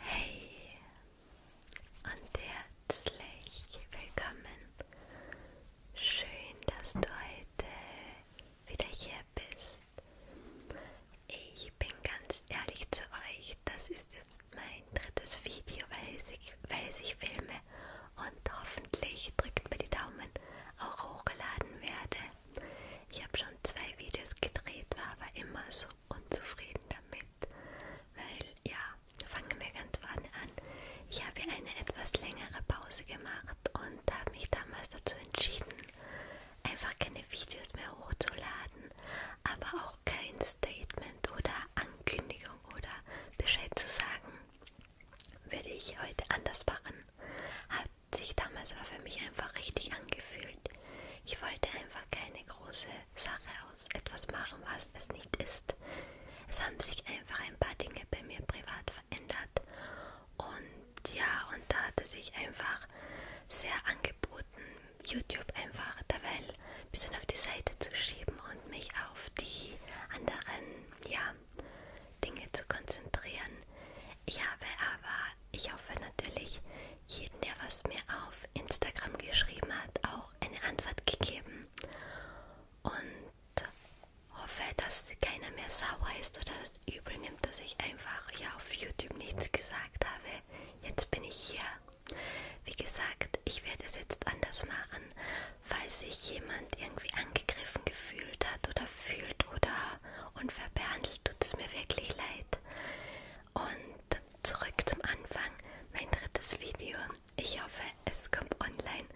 Hey und herzlich willkommen. Schön, dass du heute wieder hier bist. Ich bin ganz ehrlich zu euch, das ist jetzt mein drittes Video, welches ich, welches ich filme und hoffentlich drückt mir die Daumen auch hochgeladen werde. Ich habe schon zwei Videos gedreht, war aber immer so unzufrieden damit, weil ja, fangen wir ganz vorne an. Ich habe eine etwas längere Pause gemacht und habe mich damals dazu entschieden, einfach keine Videos mehr hochzuladen, aber auch kein Statement oder Ankündigung oder Bescheid zu sagen, würde ich heute anders machen. Habe sich damals war für mich einfach richtig angefühlt. Ich wollte einfach keine große Sache aus etwas machen, was es nicht ist. Es haben sich einfach ein paar Dinge bei mir privat verändert und ja, und da hat es sich einfach sehr angeboten, YouTube einfach derweil ein bisschen auf die Seite zu schieben und mich auf die anderen, ja, Dinge zu konzentrieren. Ich habe aber ich hoffe natürlich, jeden, der was mir auf Instagram geschrieben hat, auch eine Antwort gegeben. Und hoffe, dass keiner mehr sauer ist oder das übel nimmt, dass ich einfach ja auf YouTube nichts gesagt habe. Jetzt bin ich hier. Wie gesagt, ich werde es jetzt anders machen. Falls sich jemand irgendwie angegriffen gefühlt hat oder fühlt oder und verbehandelt, tut es mir wirklich leid. Und zurück zum Anfang, mein drittes Video. Ich hoffe, es kommt online.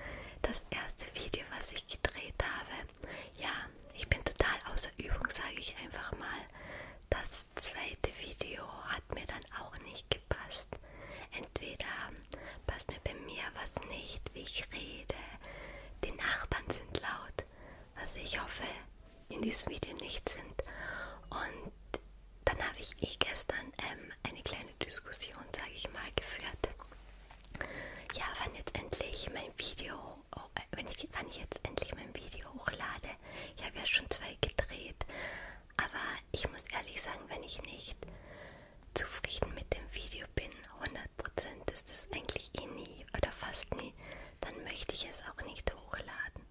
Das erste Video, was ich gedreht habe. Ja, ich bin total außer Übung, sage ich einfach mal. Das zweite Video hat mir dann auch nicht gepasst. Entweder passt mir bei mir was nicht, wie ich rede, die Nachbarn sind laut, ist, was ich hoffe in diesem Video nicht sind. Und dann habe ich eh gestern ähm, eine kleine Diskussion, sage ich mal, geführt. Ja, wann jetzt endlich mein Video, oh, äh, wenn ich, wann ich jetzt endlich mein Video hochlade. Ich habe ja schon zwei gedreht, aber ich muss ehrlich sagen, wenn ich nicht zufrieden mit dem Video bin, 100% ist das eigentlich ich eh nie oder fast nie, dann möchte ich es auch nicht hochladen.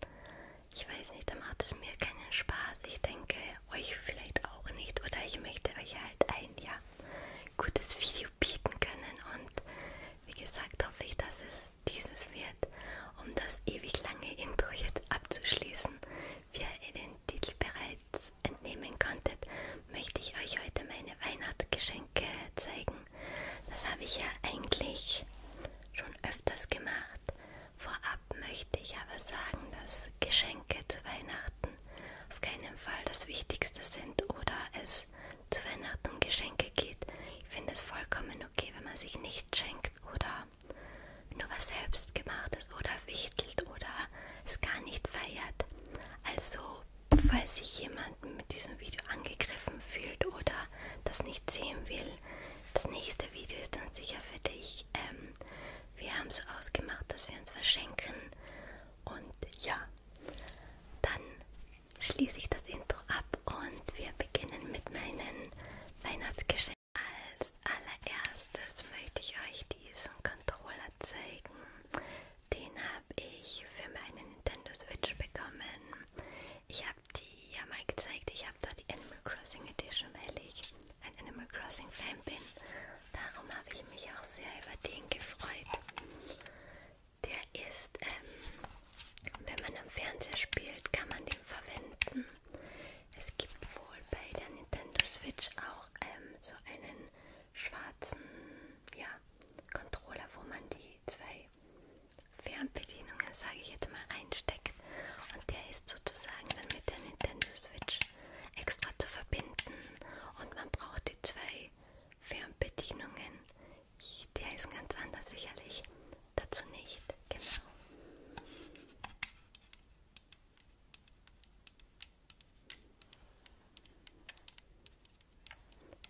Ich weiß nicht, dann macht es mir keinen Spaß. Ich denke, euch vielleicht auch nicht oder ich möchte euch halt ein ja, gutes Video bieten können und wie gesagt hoffe ich, dass es dieses wird, um das ewig lange Intro jetzt abzuschließen. Wie ihr den Titel bereits entnehmen konntet, möchte ich euch heute meine Weihnachtsgeschenke zeigen Augen. Das habe ich ja eigentlich schon öfters gemacht. Vorab möchte ich aber sagen, dass Geschenke zu Weihnachten auf keinen Fall das Wichtigste sind oder es zu Weihnachten um Geschenke geht. Ich finde es vollkommen okay, wenn man sich nichts schenkt oder nur was selbst gemacht ist oder wichtelt oder es gar nicht feiert. Also falls sich jemanden mit diesem Video angegriffen fühlt oder das nicht sehen will, das nächste Video ist dann sicher für dich. Ähm, wir haben so ausgemacht, dass wir uns verschenken. Und ja, dann schließe ich das Intro ab und wir beginnen mit meinen Weihnachtsgeschenken. Als allererstes möchte ich euch diesen Controller zeigen. Den habe ich für meine Nintendo Switch bekommen. Ich habe die ja mal gezeigt. Ich habe da die Animal Crossing Edition, weil ich ein Animal Crossing Fan bin. Darum habe ich mich auch sehr über den gefreut. Der ist, ähm, wenn man am Fernseher spielt, kann man den verwenden. Es gibt wohl bei der Nintendo Switch auch ähm, so einen schwarzen ja, Controller, wo man die die zwei Fernbedienungen, sage ich jetzt mal, reinsteckt. Und der ist sozusagen dann mit der Nintendo Switch extra zu verbinden. Und man braucht die zwei Fernbedienungen. Der ist ganz anders sicherlich. Dazu nicht. Genau.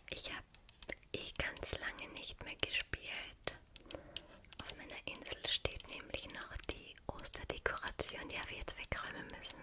Ich habe eh ganz lange nicht mehr gespielt. Auf meiner Insel steht nämlich noch die Osterdekoration, die wir jetzt wegräumen müssen.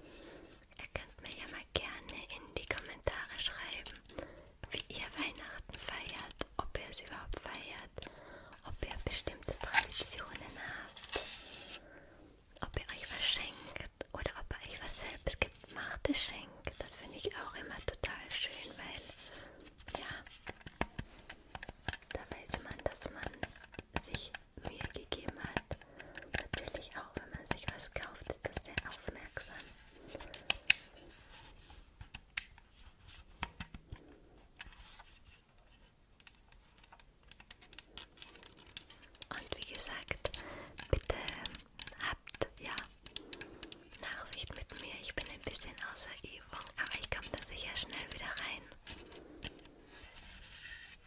Ihr könnt mir ja mal gerne in die Kommentare schreiben, wie ihr Weihnachten feiert, ob ihr es überhaupt feiert, ob ihr bestimmte Traditionen habt, ob ihr euch was schenkt oder ob ihr euch was selbst gemachtes schenkt. Das finde ich auch immer total schön, weil ja, da weiß man, dass man sich Mühe gegeben hat. Natürlich auch, wenn man sich was kauft, ist das sehr aufmerksam. Und wie gesagt, bitte habt ja Nachsicht mit mir. Ich bin ein bisschen außer Übung, aber ich komme da sicher schnell wieder rein.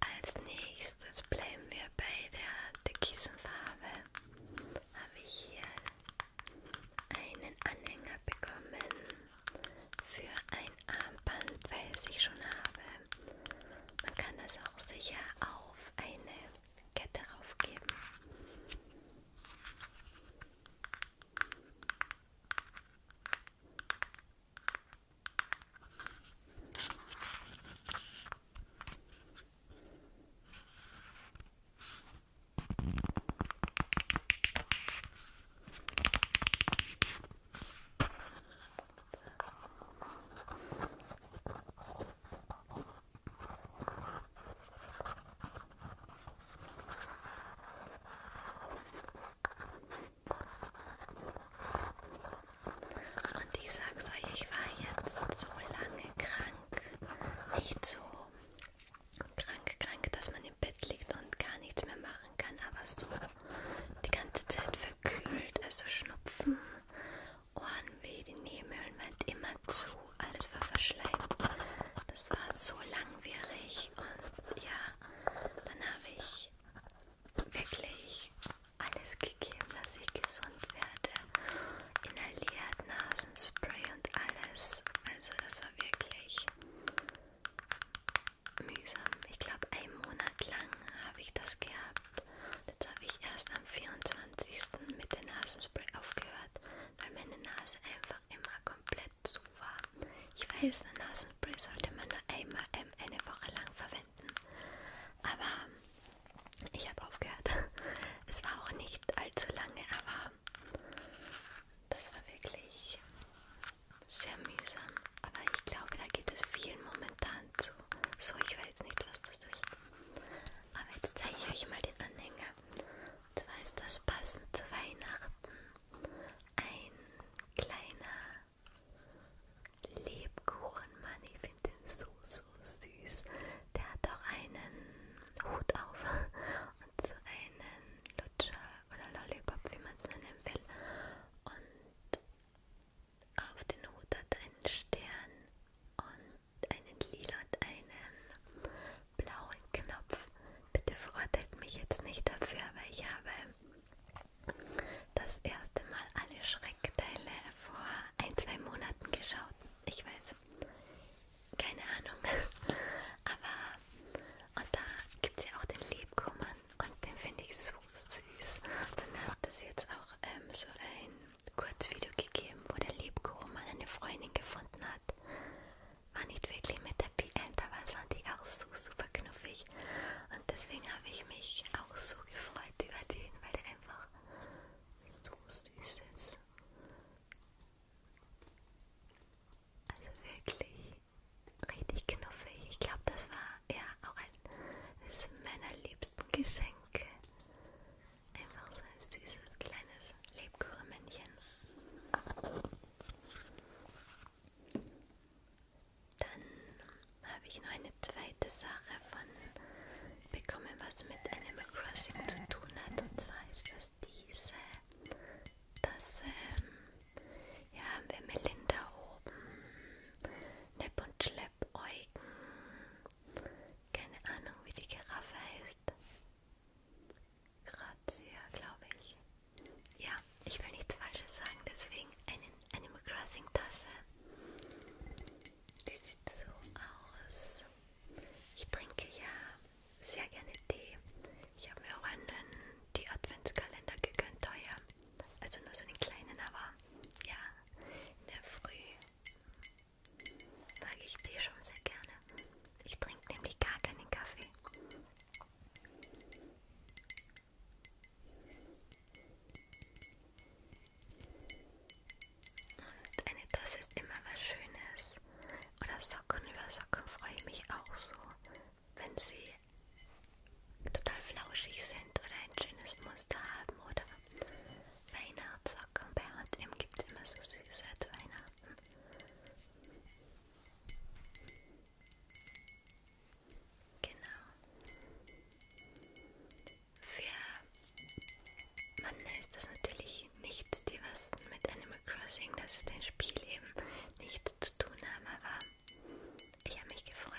Als nächstes bleiben wir bei der Türkisenfarbe. Habe ich hier einen Anhänger bekommen für ein Armband, weil ich schon habe. Man kann das auch sicher auf eine Kette raufgeben. So. Und ich sag's euch, ich war jetzt so lange krank, nicht so krank, krank, dass man im Bett liegt und gar nichts mehr machen kann, aber so die ganze Zeit verkühlt, also Schnupfen Ohrenweh, die Nebenhöhlen waren immer zu, alles war verschleimt. Das war so langwierig und ja, dann habe ich wirklich alles gegeben, dass ich gesund werde. Inhaliert, Nasenspray und alles. Also das war wirklich mühsam. Ich glaube, einen Monat lang habe ich das gehabt. Jetzt habe ich erst am 24. mit dem Nasenspray aufgehört weil meine Nase einfach immer komplett zu war. Ich weiß, ein Nasenspray sollte man nur einmal eine Woche lang verwenden, aber ich habe aufgehört. Es war auch nicht allzu lange, aber das war wirklich sehr mühsam. Aber ich glaube, da geht es vielen momentan zu. So, ich weiß nicht, was das ist. Aber jetzt zeige ich euch mal den Anhänger. Und zwar ist das passend zu Weihnachten ein kleiner Lebkuchenmann. Ich finde den so, so süß. Der hat auch einen Hut auf und so einen Lutscher oder Lollipop, wie man es nennen will. Und auf den Hut hat einen Stern und einen lila und einen blauen Knopf. Bitte verurteilt mich jetzt nicht dafür, weil ich habe das erste Mal alle Schreckteile vor ein, zwei Monaten geschaut. Ich weiß, keine Ahnung. Aber und da gibt es ja auch den Lebkuchen und den finde ich so süß. Dann hat das jetzt auch ähm, so ein Kurzvideo gegeben, wo der Lebkuchen mal eine Freundin gefunden hat. War nicht wirklich mit Happy End, aber es war die auch so super knuffig. Und deswegen habe ich mich auch so gefreut über den, weil der einfach so süß ist. Also wirklich richtig knuffig. Ich glaube, das war ja auch eines meiner liebsten Geschenke. Einfach so ein süßes kleines Lebkuchenmännchen. Dann habe ich noch eine zweite Sache von bekommen, was mit Animal Crossing zu tun hat. Und zwar ist das diese, dass ähm, ja, haben wir Melinda oben, Nepp und Schlepp, Eugen, keine Ahnung wie die Giraffe heißt. Grazia, glaube ich. Ja, ich will nichts Falsches sagen, deswegen einen Animal Crossing Tasse. Die sieht so aus. Ich trinke ja sehr gerne Tee. Ich habe mir auch einen die Adventskalender gegönnt, teuer. Also nur so einen kleinen, aber ja, in der Früh Mag ich Tee schon sehr gerne. Ich trinke nämlich gar keinen Kaffee. Und eine Tasse ist immer was Schönes. Oder Socken über Socken freue ich mich auch so, wenn sie total flauschig sind oder ein schönes Muster haben oder Weihnachtssocken bei H&M gibt es immer so süße zu Weihnachten. Genau. Für Mann ist das natürlich nichts, die was mit Animal Crossing, das ist ein Spiel eben, nichts zu tun haben, aber ich habe mich gefreut.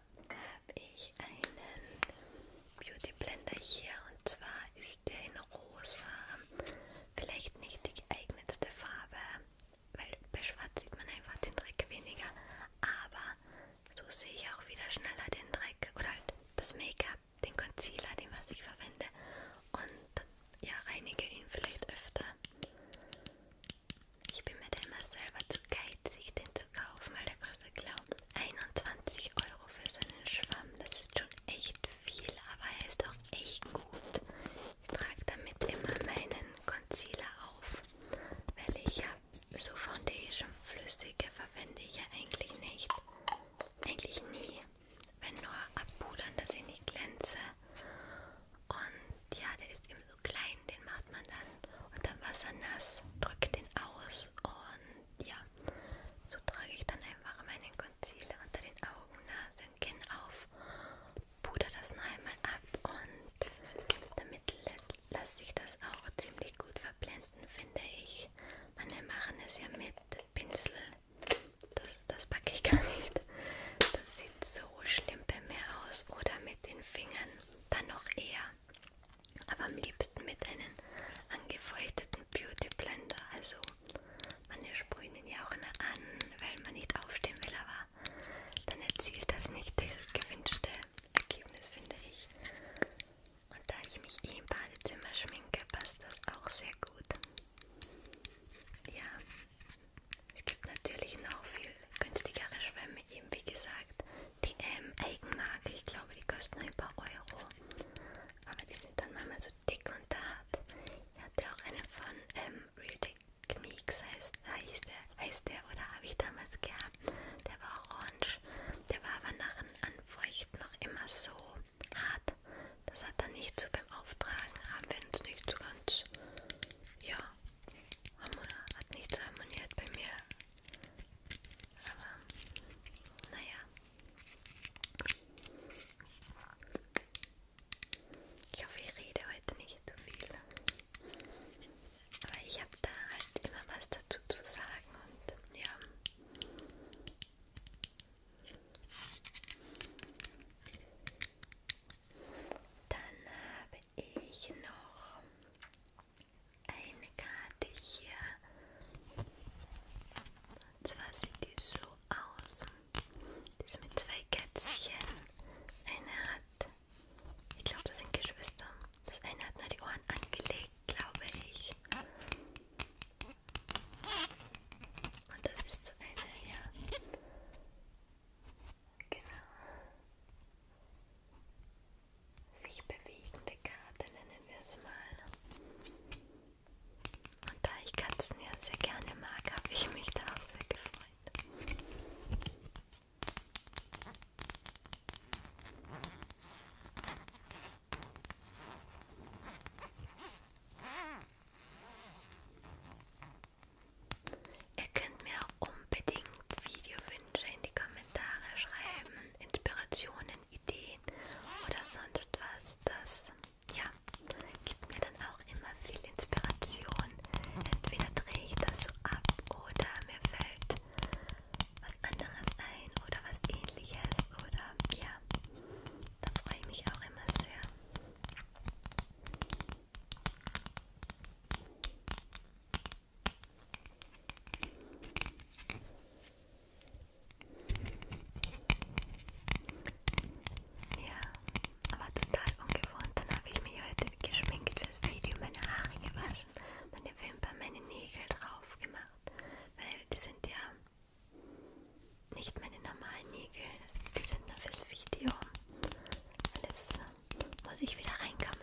habe ich einen Beauty Blender hier und zwar ist der in rosa. Vielleicht nicht die geeignetste Farbe, weil bei schwarz sieht man einfach den Dreck weniger, aber so sehe ich auch wieder schneller den Dreck oder halt das Make-up, den Concealer, den was ich verwende und ja, reinige ihn vielleicht öfter. Ich bin mir da immer selber zu geil, witzig, den zu kaufen, weil der kostet, glaube ich, 21 Euro für so einen Schwamm. Das ist schon echt viel, aber er ist auch echt gut. Ich trage damit immer meinen Concealer auf, weil ich ja so Foundation-Flüssige verwende ich ja eigentlich nicht. Eigentlich nie. Wenn nur abpudern, dass ich nicht glänze. Und ja, der ist eben so klein, den macht man dann unter Wasser nass, drückt den aus und ja, so trage ich dann einfach meinen Concealer unter den Augen, Nase und Kinn auf, puder das noch einmal ab und damit lässt sich das auch ziemlich gut verblenden, finde ich. Manche machen es ja mit Pinsel, das, das packe ich gar nicht. Das sieht so schlimm bei mir aus. Oder mit den Fingern, dann noch eher aber am liebsten mit einem angefeuchteten Beauty Blender. Also manche sprühen ihn ja auch nur an, weil man nicht aufstehen will, aber dann erzielt das nicht das gewünschte Ergebnis, finde ich. Und da ich mich eh im Badezimmer schminke, passt das auch sehr gut. Ja, es gibt natürlich noch viel günstigere Schwämme, eben wie gesagt, die ähm, Eigenmarke, ich glaube die kosten nur ein paar Euro, aber die sind dann manchmal so dick und hart. Ich hatte auch eine von ähm, Real Techniques, heißt, heiß der, heißt der, oder habe ich damals gehabt, der war orange, der war aber nach dem Anfeuchten noch immer so hart, das hat dann nicht so beim Auftragen, haben wir uns nicht so ganz, ja, hat nicht so harmoniert bei mir. Aber naja. Ich hoffe, ich rede heute nicht zu viel. Aber ich habe da halt immer was dazu zu sagen und ja. Dann habe ich noch eine Karte hier. Und zwar sieht die so aus. Die ist mit zwei Kätzchen. Eine hat, ich glaube, das sind Geschwister. Das eine hat nur die Ohren angelegt, glaube ich. Und das ist so eine, ja. Genau sich bewegende Karte, nennen wir es mal. Und da ich Katzen ja sehr gerne mag, habe ich mich da auch sehr gefreut. Ihr könnt mir auch unbedingt Videowünsche in die Kommentare schreiben, Inspirationen, Ideen oder sonst was, das ja, gibt mir dann auch immer viel Inspiration. Entweder drehe ich das so ab oder mir fällt was anderes ein oder was ähnliches oder ja, da freue ich mich auch immer sehr. Ja, aber total ungewohnt. Dann habe ich mich heute geschminkt fürs Video, meine Haare gewaschen, meine Wimpern, meine Nägel drauf gemacht, weil die sind ja nicht meine normalen Nägel, die sind nur fürs Video. Alles muss ich wieder reinkommen.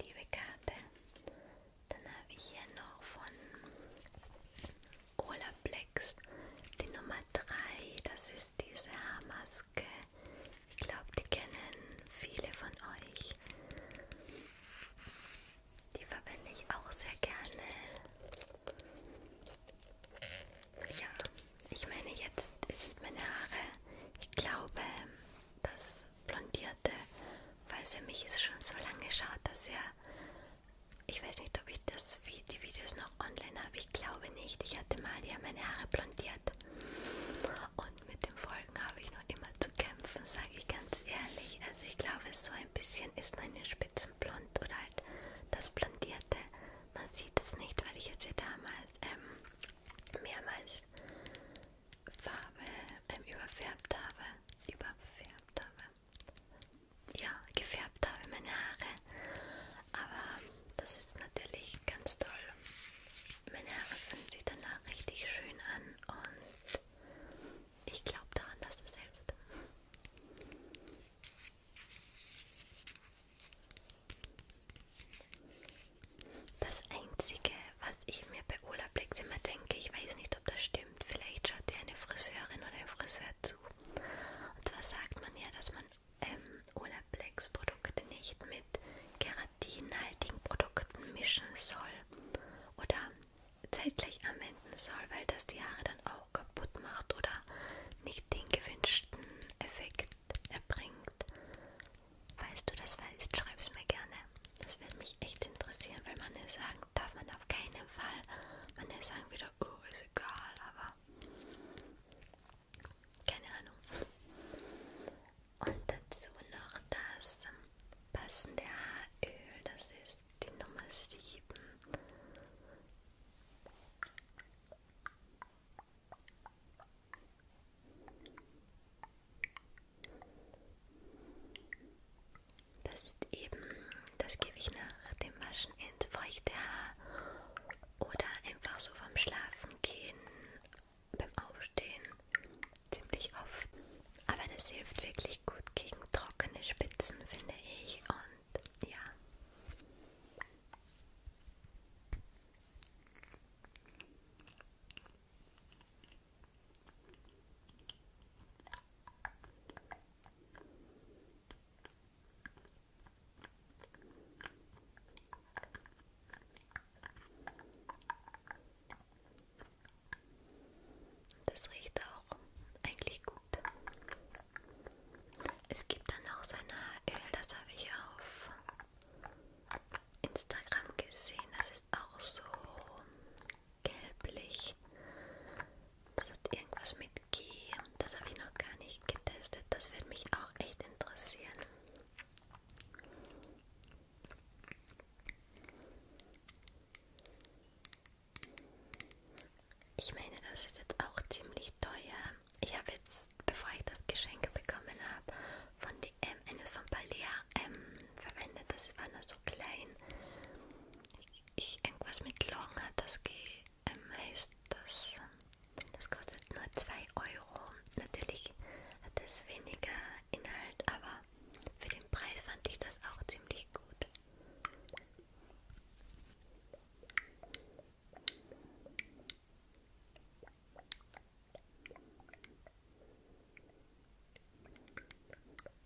liebe Karte. Dann habe ich hier noch von Olaplex die Nummer 3. Das ist diese Haarmaske. Ich glaube, die kennen viele von euch. Die verwende ich auch sehr gerne. Ja, ich meine, jetzt sind meine Haare. Ich glaube, dass blondierte, weil es für mich ist schon so lange schaut, dass er, ich weiß nicht, ob ich das, die Videos noch online habe, ich glaube nicht. Ich hatte mal ja meine Haare blondiert und mit den Folgen habe ich noch immer zu kämpfen, sage ich ganz ehrlich. Also ich glaube, so ein bisschen ist meine Spitzen blond oder halt das blondierte. Man sieht es nicht, weil ich jetzt ja damals ähm, mehrmals Farbe ähm, überfärbt habe. Überfärbt habe. Ja, gefärbt habe meine Haare. Aber das ist natürlich ganz toll. Meine Haare fühlen sich danach richtig schön an und ich glaube daran, dass es hilft. Das Einzige, was ich mir bei Ola Blicks immer denke, ich weiß nicht, ob das stimmt. Vielleicht schaut dir eine Friseurin oder ein Friseur zu. Und zwar sagt man ja, dass man ähm, Olaplex Produkte nicht mit keratinhaltigen Produkten mischen soll oder zeitgleich anwenden soll, weil das die Haare dann auch kaputt macht oder nicht den gewünschten Effekt erbringt. Falls du das weißt, schreib es mir gerne. Das würde mich echt interessieren, weil manche sagen, darf man auf keinen Fall. Manche sagen wieder, oh, ist egal, aber keine Ahnung. Und dazu noch das passende Haaröl, das ist die Nummer 7. Das ist eben, das gebe ich nach dem Waschen ins feuchte Haar oder einfach so vom Schlafen gehen, beim Aufstehen, ziemlich oft. Aber das hilft wirklich gut gegen trockene Spitzen, finde ich. Und ja. Das riecht auch eigentlich gut. Es gibt dann auch so ein Öl, das habe ich auf Instagram gesehen. Das ist auch so gelblich. Das hat irgendwas mit G. Das habe ich noch gar nicht getestet. Das würde mich auch echt interessieren. Ich meine, das ist jetzt auch ziemlich teuer. Ich habe jetzt, bevor ich das Geschenk bekommen habe, von DM, eines von Balea, ähm, verwendet. Das war nur so klein. Ich, irgendwas mit Long hat das ähm, heißt das. Das kostet nur 2 Euro. Natürlich hat es weniger Inhalt, aber für den Preis fand ich das auch ziemlich gut.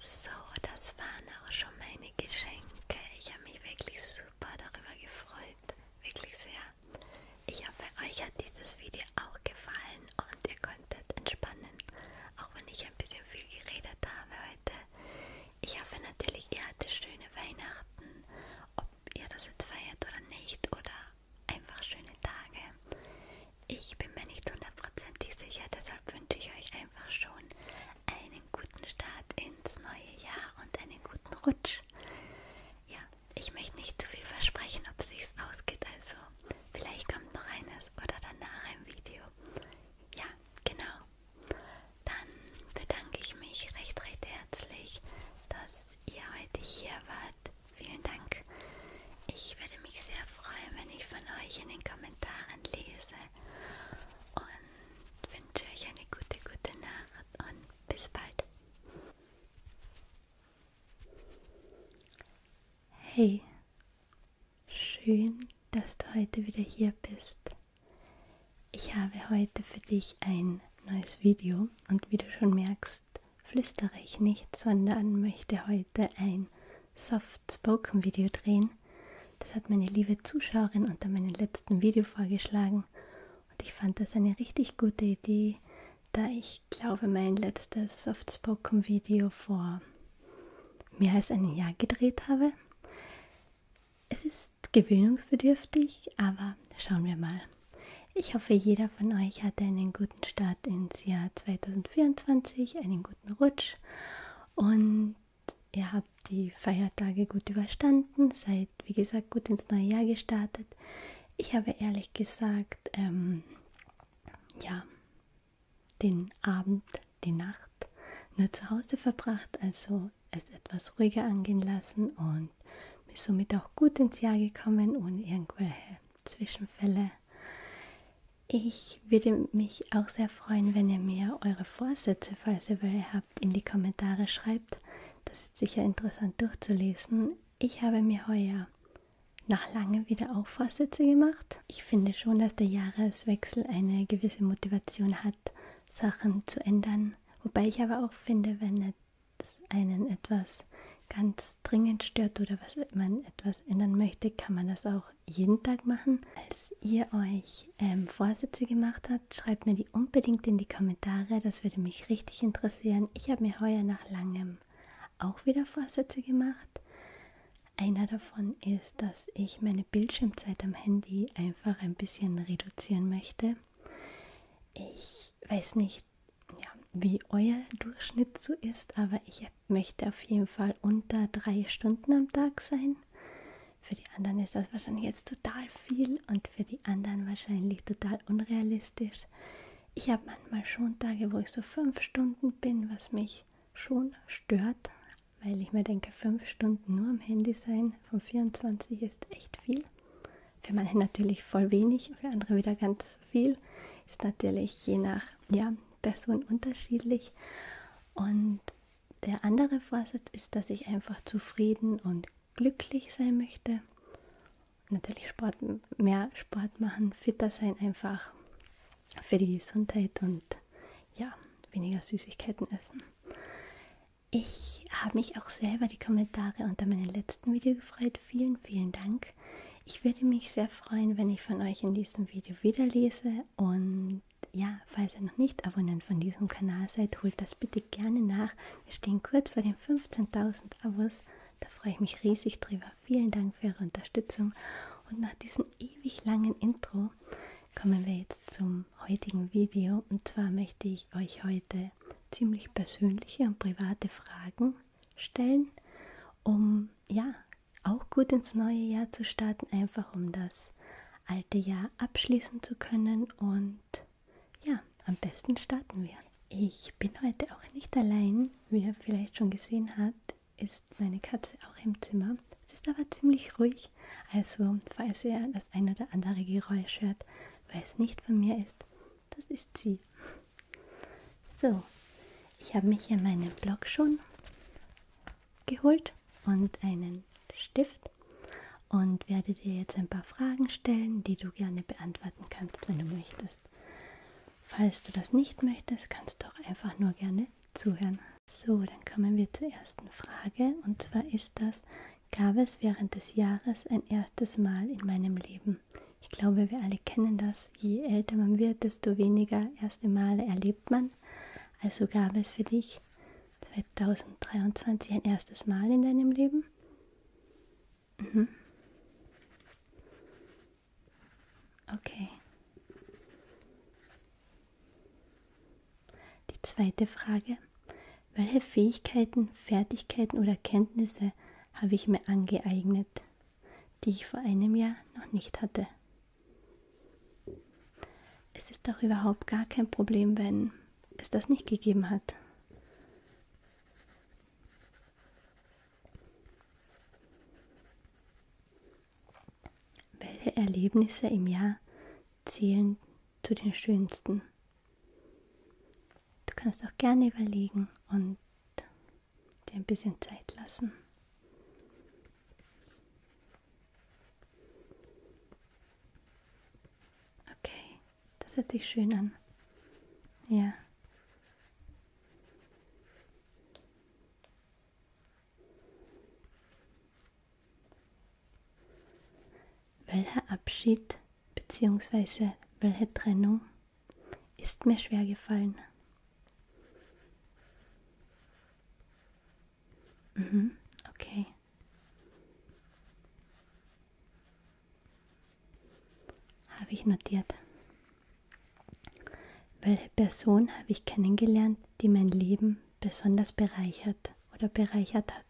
So, das waren auch schon meine Geschenke. Ich habe mich wirklich super darüber gefreut. Wirklich sehr. Ich hoffe, euch hat dieses Video auch gefallen und ihr konntet entspannen. Auch wenn ich ein bisschen viel geredet habe heute. Ich hoffe natürlich, ihr hattet schöne Weihnachten. Ob ihr das jetzt feiert oder nicht oder einfach schöne Tage. Ich bin mir nicht hundertprozentig sicher, deshalb wünsche ich euch einfach schon einen guten Start ins neue Jahr und einen guten Rutsch. Ja, ich möchte nicht zu viel versprechen, ob sich's ausgeht, also vielleicht kommt noch eines oder danach ein Video. Ja, genau. Dann bedanke ich mich recht, recht herzlich, dass ihr heute hier wart Gott, vielen Dank. Ich würde mich sehr freuen, wenn ich von euch in den Kommentaren lese. Und wünsche euch eine gute, gute Nacht und bis bald. Hey, schön, dass du heute wieder hier bist. Ich habe heute für dich ein neues Video und wie du schon merkst, magst, flüstere ich nicht, sondern möchte heute ein Soft-Spoken-Video drehen. Das hat meine liebe Zuschauerin unter meinem letzten Video vorgeschlagen und ich fand das eine richtig gute Idee, da ich glaube, mein letztes Soft-Spoken-Video vor mehr als einem Jahr gedreht habe. Es ist gewöhnungsbedürftig, aber schauen wir mal. Ich hoffe, jeder von euch hatte einen guten Start ins Jahr 2024 2024 einen guten Rutsch und ihr habt die Feiertage gut überstanden, seid wie gesagt gut ins neue Jahr gestartet. Ich habe ehrlich gesagt, ähm, ja, den Abend, die Nacht nur zu Hause verbracht, also es etwas ruhiger angehen lassen und bin somit auch gut ins Jahr gekommen, ohne irgendwelche Zwischenfälle. Ich würde mich auch sehr freuen, wenn ihr mir eure Vorsätze, falls ihr welche habt, in die Kommentare schreibt. Das ist sicher interessant durchzulesen. Ich habe mir heuer nach lange wieder auch Vorsätze gemacht. Ich finde schon, dass der Jahreswechsel eine gewisse Motivation hat, Sachen zu ändern. Wobei ich aber auch finde, wenn es einen etwas ganz dringend stört oder was man etwas ändern möchte, kann man das auch jeden Tag machen. Als ihr euch ähm, Vorsätze gemacht habt, schreibt mir die unbedingt in die Kommentare. Das würde mich richtig interessieren. Ich habe mir heuer nach langem auch wieder Vorsätze gemacht. Einer davon ist, dass ich meine Bildschirmzeit am Handy einfach ein bisschen reduzieren möchte. Ich weiß nicht, ja, wie euer Durchschnitt so ist, aber ich möchte auf jeden Fall unter drei Stunden am Tag sein. Für die anderen ist das wahrscheinlich jetzt total viel und für die anderen wahrscheinlich total unrealistisch. Ich habe manchmal schon Tage, wo ich so fünf Stunden bin, was mich schon stört, weil ich mir denke, fünf Stunden nur am Handy sein von 24 ist echt viel. Für manche natürlich voll wenig, für andere wieder ganz viel. Ist natürlich je nach ja, Person unterschiedlich. Und der andere Vorsatz ist, dass ich einfach zufrieden und glücklich sein möchte. Natürlich Sport, mehr Sport machen, fitter sein einfach für die Gesundheit und ja, weniger Süßigkeiten essen. Ich habe mich auch selber die Kommentare unter meinem letzten Video gefreut. Vielen, vielen Dank. Ich würde mich sehr freuen, wenn ich von euch in diesem Video wieder lese. Und ja, falls ihr noch nicht Abonnent von diesem Kanal seid, holt das bitte gerne nach. Wir stehen kurz vor den 15.000 Abos. Da freue ich mich riesig drüber. Vielen Dank für eure Unterstützung. Und nach diesem ewig langen Intro kommen wir jetzt zum heutigen Video. Und zwar möchte ich euch heute ziemlich persönliche und private Fragen stellen, um ja auch gut ins neue Jahr zu starten, einfach um das alte Jahr abschließen zu können. Und ja, am besten starten wir. Ich bin heute auch nicht allein. Wie ihr vielleicht schon gesehen habt, ist meine Katze auch im Zimmer. Es ist aber ziemlich ruhig. Also, falls ihr das ein oder andere Geräusch hört, weil es nicht von mir ist, das ist sie. So, ich habe mich hier meinen Block schon geholt und einen Stift und werde dir jetzt ein paar Fragen stellen, die du gerne beantworten kannst, wenn du möchtest. Falls du das nicht möchtest, kannst du auch einfach nur gerne zuhören. So, dann kommen wir zur ersten Frage und zwar ist das, gab es während des Jahres ein erstes Mal in meinem Leben? Ich glaube, wir alle kennen das je älter man wird, desto weniger erste Male erlebt man. Also gab es für dich 2023 ein erstes Mal in deinem Leben? Mhm. Okay. Die zweite Frage. Welche Fähigkeiten, Fertigkeiten oder Kenntnisse habe ich mir angeeignet, die ich vor einem Jahr noch nicht hatte? Es ist doch überhaupt gar kein Problem, wenn es das nicht gegeben hat. Welche Erlebnisse im Jahr zählen zu den schönsten? Du kannst auch gerne überlegen und dir ein bisschen Zeit lassen. Okay, das hört sich schön an. Ja. Welcher Abschied bzw. welche Trennung ist mir schwer gefallen? Mhm, okay. Habe ich notiert. Welche Person habe ich kennengelernt, die mein Leben besonders bereichert oder bereichert hat?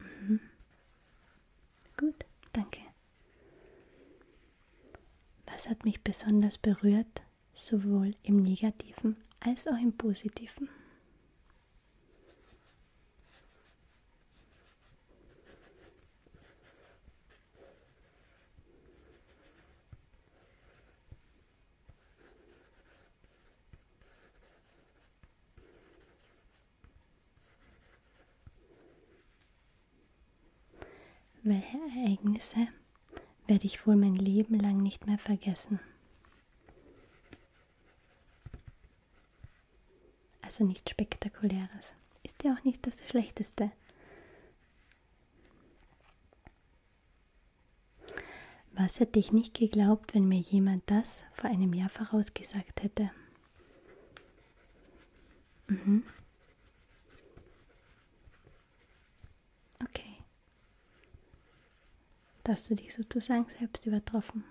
Mhm. Gut, danke. Was hat mich besonders berührt, sowohl im negativen als auch im positiven? Welche Ereignisse werde ich wohl mein Leben lang nicht mehr vergessen? Also nichts Spektakuläres. Ist ja auch nicht das Schlechteste. Was hätte ich nicht geglaubt, wenn mir jemand das vor einem Jahr vorausgesagt hätte? Mhm. Okay. Da hast du dich sozusagen selbst übertroffen.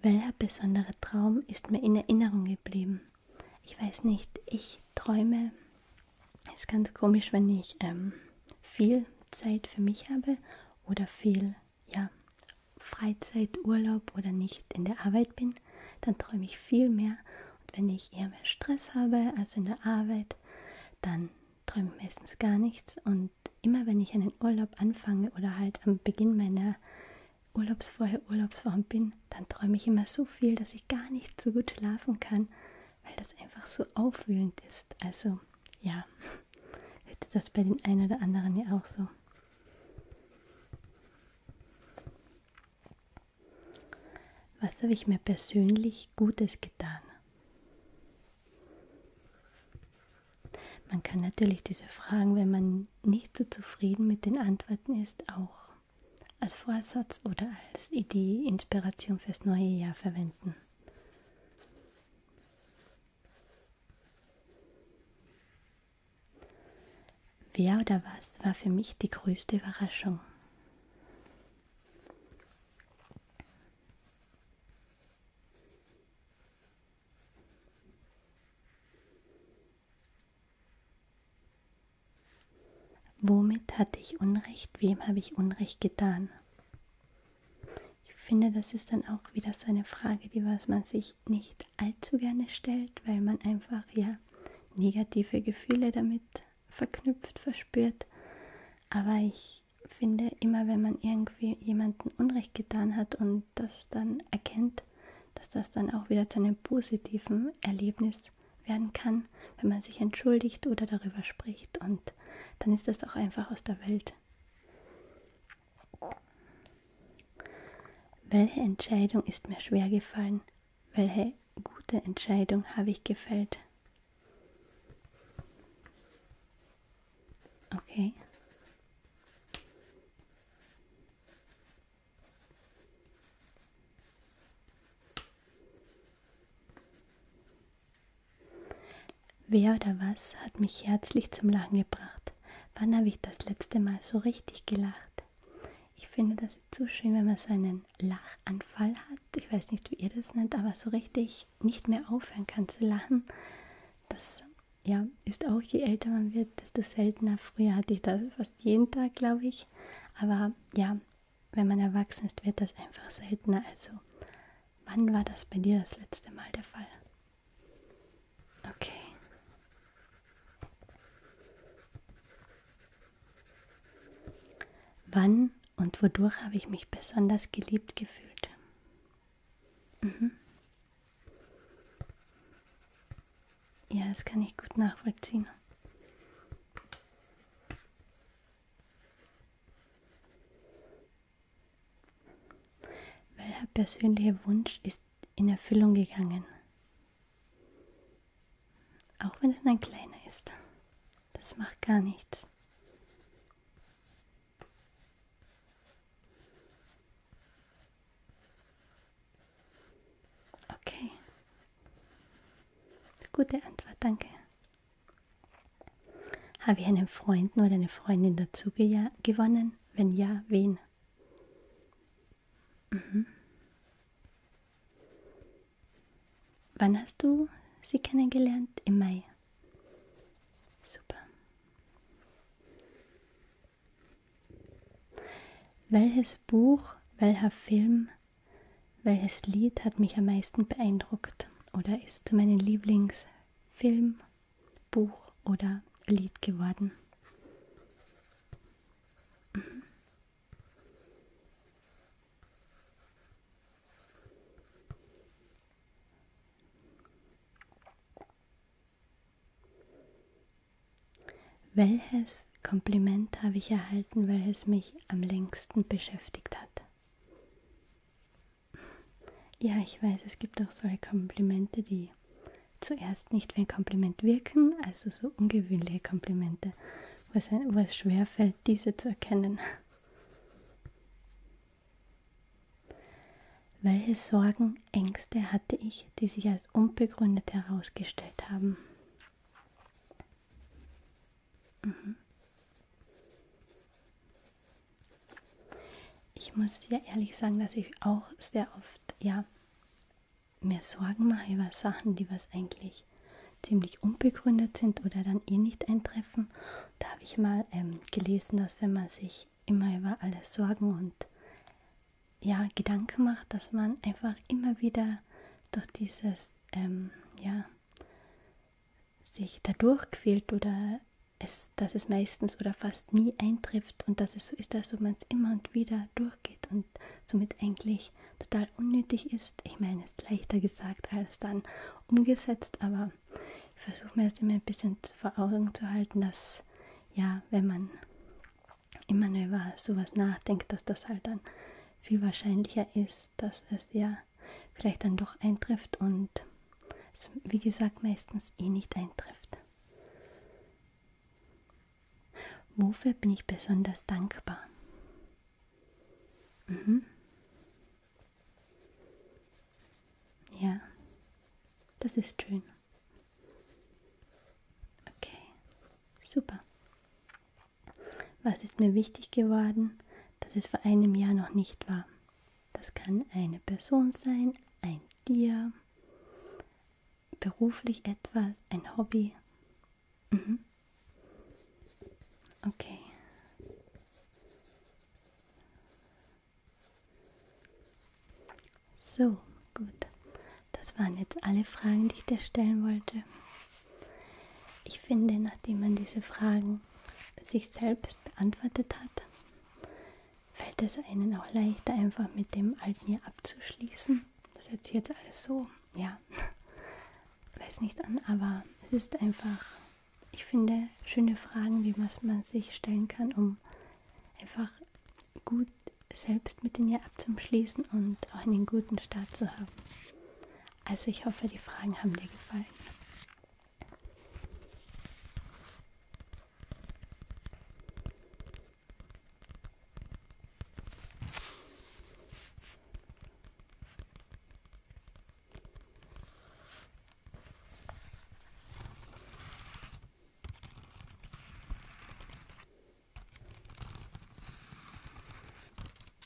Welcher besondere Traum ist mir in Erinnerung geblieben? ich weiß nicht, ich träume. Ist ganz komisch, wenn ich ähm, viel Zeit für mich habe oder viel ja, Freizeit, Urlaub oder nicht in der Arbeit bin, dann träume ich viel mehr. Und wenn ich eher mehr Stress habe als in der Arbeit, dann träume ich meistens gar nichts. Und immer wenn ich einen Urlaub anfange oder halt am Beginn meiner Urlaubsvorher Urlaubsform bin, dann träume ich immer so viel, dass ich gar nicht so gut schlafen kann, weil das einfach so aufwühlend ist. Also ja, jetzt ist das bei den einen oder anderen ja auch so. Was habe ich mir persönlich Gutes getan? Man kann natürlich diese Fragen, wenn man nicht so zufrieden mit den Antworten ist, auch als Vorsatz oder als Idee, Inspiration fürs neue Jahr verwenden. Wer oder was war für mich die größte Überraschung? Womit hatte ich Unrecht? Wem habe ich Unrecht getan? Ich finde, das ist dann auch wieder so eine Frage, die was man sich nicht allzu gerne stellt, weil man einfach ja negative Gefühle damit verknüpft, verspürt. Aber ich finde, immer wenn man irgendwie jemanden Unrecht getan hat und das dann erkennt, dass das dann auch wieder zu einem positiven Erlebnis werden kann, wenn man sich entschuldigt oder darüber spricht. Und dann ist das auch einfach aus der Welt. Welche Entscheidung ist mir schwer gefallen? Welche gute Entscheidung habe ich gefällt? Okay. Wer oder was hat mich herzlich zum Lachen gebracht? Wann habe ich das letzte Mal so richtig gelacht? Ich finde das ist so schön, wenn man so einen Lachanfall hat. Ich weiß nicht, wie ihr das nennt, aber so richtig nicht mehr aufhören kann zu lachen. Das ja, ist auch je älter man wird, desto seltener. Früher hatte ich das fast jeden Tag, glaube ich. Aber ja, wenn man erwachsen ist, wird das einfach seltener. Also, wann war das bei dir das letzte Mal der Fall? Okay. Wann und wodurch habe ich mich besonders geliebt gefühlt? Mhm. Ja, das kann ich gut nachvollziehen. Welcher persönliche Wunsch ist in Erfüllung gegangen? Auch wenn es nur ein kleiner ist. Das macht gar nichts. Okay, Gute Antwort, danke. Habe ich einen Freund oder eine Freundin dazu ge gewonnen? Wenn ja, wen? Mhm. Wann hast du sie kennengelernt? Im Mai. Super. Welches Buch, welcher Film welches Lied hat mich am meisten beeindruckt oder ist mein Lieblingsfilm, Buch oder Lied geworden? Mhm. Welches das Kompliment habe ich erhalten, weil es mich am längsten beschäftigt hat. Ja, ich weiß, es gibt auch solche Komplimente, die zuerst nicht wie ein Kompliment wirken, also so ungewöhnliche Komplimente, wo es, wo es schwerfällt, diese zu erkennen. Welche Sorgen, Ängste hatte ich, die sich als unbegründet herausgestellt haben? Mhm. Ich muss dir ehrlich sagen, dass ich auch sehr oft, ja, mir Sorgen mache über Sachen, die was eigentlich ziemlich unbegründet sind oder dann eh nicht eintreffen. Da habe ich mal ähm, gelesen, dass wenn man sich immer über alles Sorgen und ja, Gedanken macht, dass man einfach immer wieder durch dieses das ähm, ja, sich dadurch quält oder es, dass es meistens oder fast nie eintrifft und dass es so ist, dass man es immer und wieder durchgeht und somit eigentlich total unnötig ist. Ich meine, es ist leichter gesagt als dann umgesetzt, aber ich versuche mir es immer ein bisschen vor Augen zu halten, dass ja, wenn man immer nur über sowas nachdenkt, dass das halt dann viel wahrscheinlicher ist, ist, dass es ja vielleicht dann doch eintrifft und es, wie gesagt, meistens eh nicht eintrifft. Wofür bin ich besonders dankbar? Mhm. Ja, das ist schön. Okay, super. Was ist mir wichtig geworden, dass es vor einem Jahr noch nicht war? Das kann eine Person sein, ein Tier, beruflich etwas, ein Hobby. Mhm. Okay. So, gut. Das waren jetzt alle Fragen, die ich dir stellen wollte. Ich finde, nachdem man diese Fragen sich selbst beantwortet hat, fällt es einen auch leichter, einfach mit dem alten hier abzuschließen. Das hört sich jetzt alles so, ja, weiß nicht an, aber es ist einfach, ich finde, schöne Fragen, wie man sich stellen kann, um einfach gut selbst mit den ihr abzuschließen und auch einen guten Start zu haben. Also ich hoffe, die Fragen haben dir gefallen.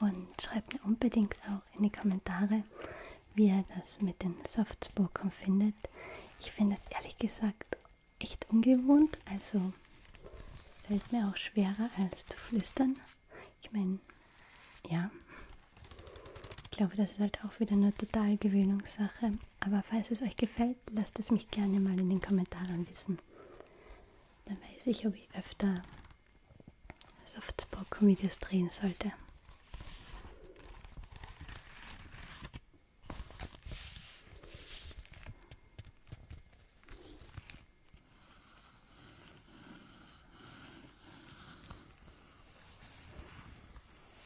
Und schreibt mir unbedingt auch in die Kommentare, wie ihr das mit den Softspoken findet. Ich finde es ehrlich gesagt echt ungewohnt, also fällt mir auch schwerer als zu flüstern. Ich meine, ja, ich glaube, das ist halt auch wieder eine total Gewöhnungssache. Aber falls es euch gefällt, lasst es mich gerne mal in den Kommentaren wissen. Dann weiß ich, ob ich öfter Softspoken-Videos drehen sollte.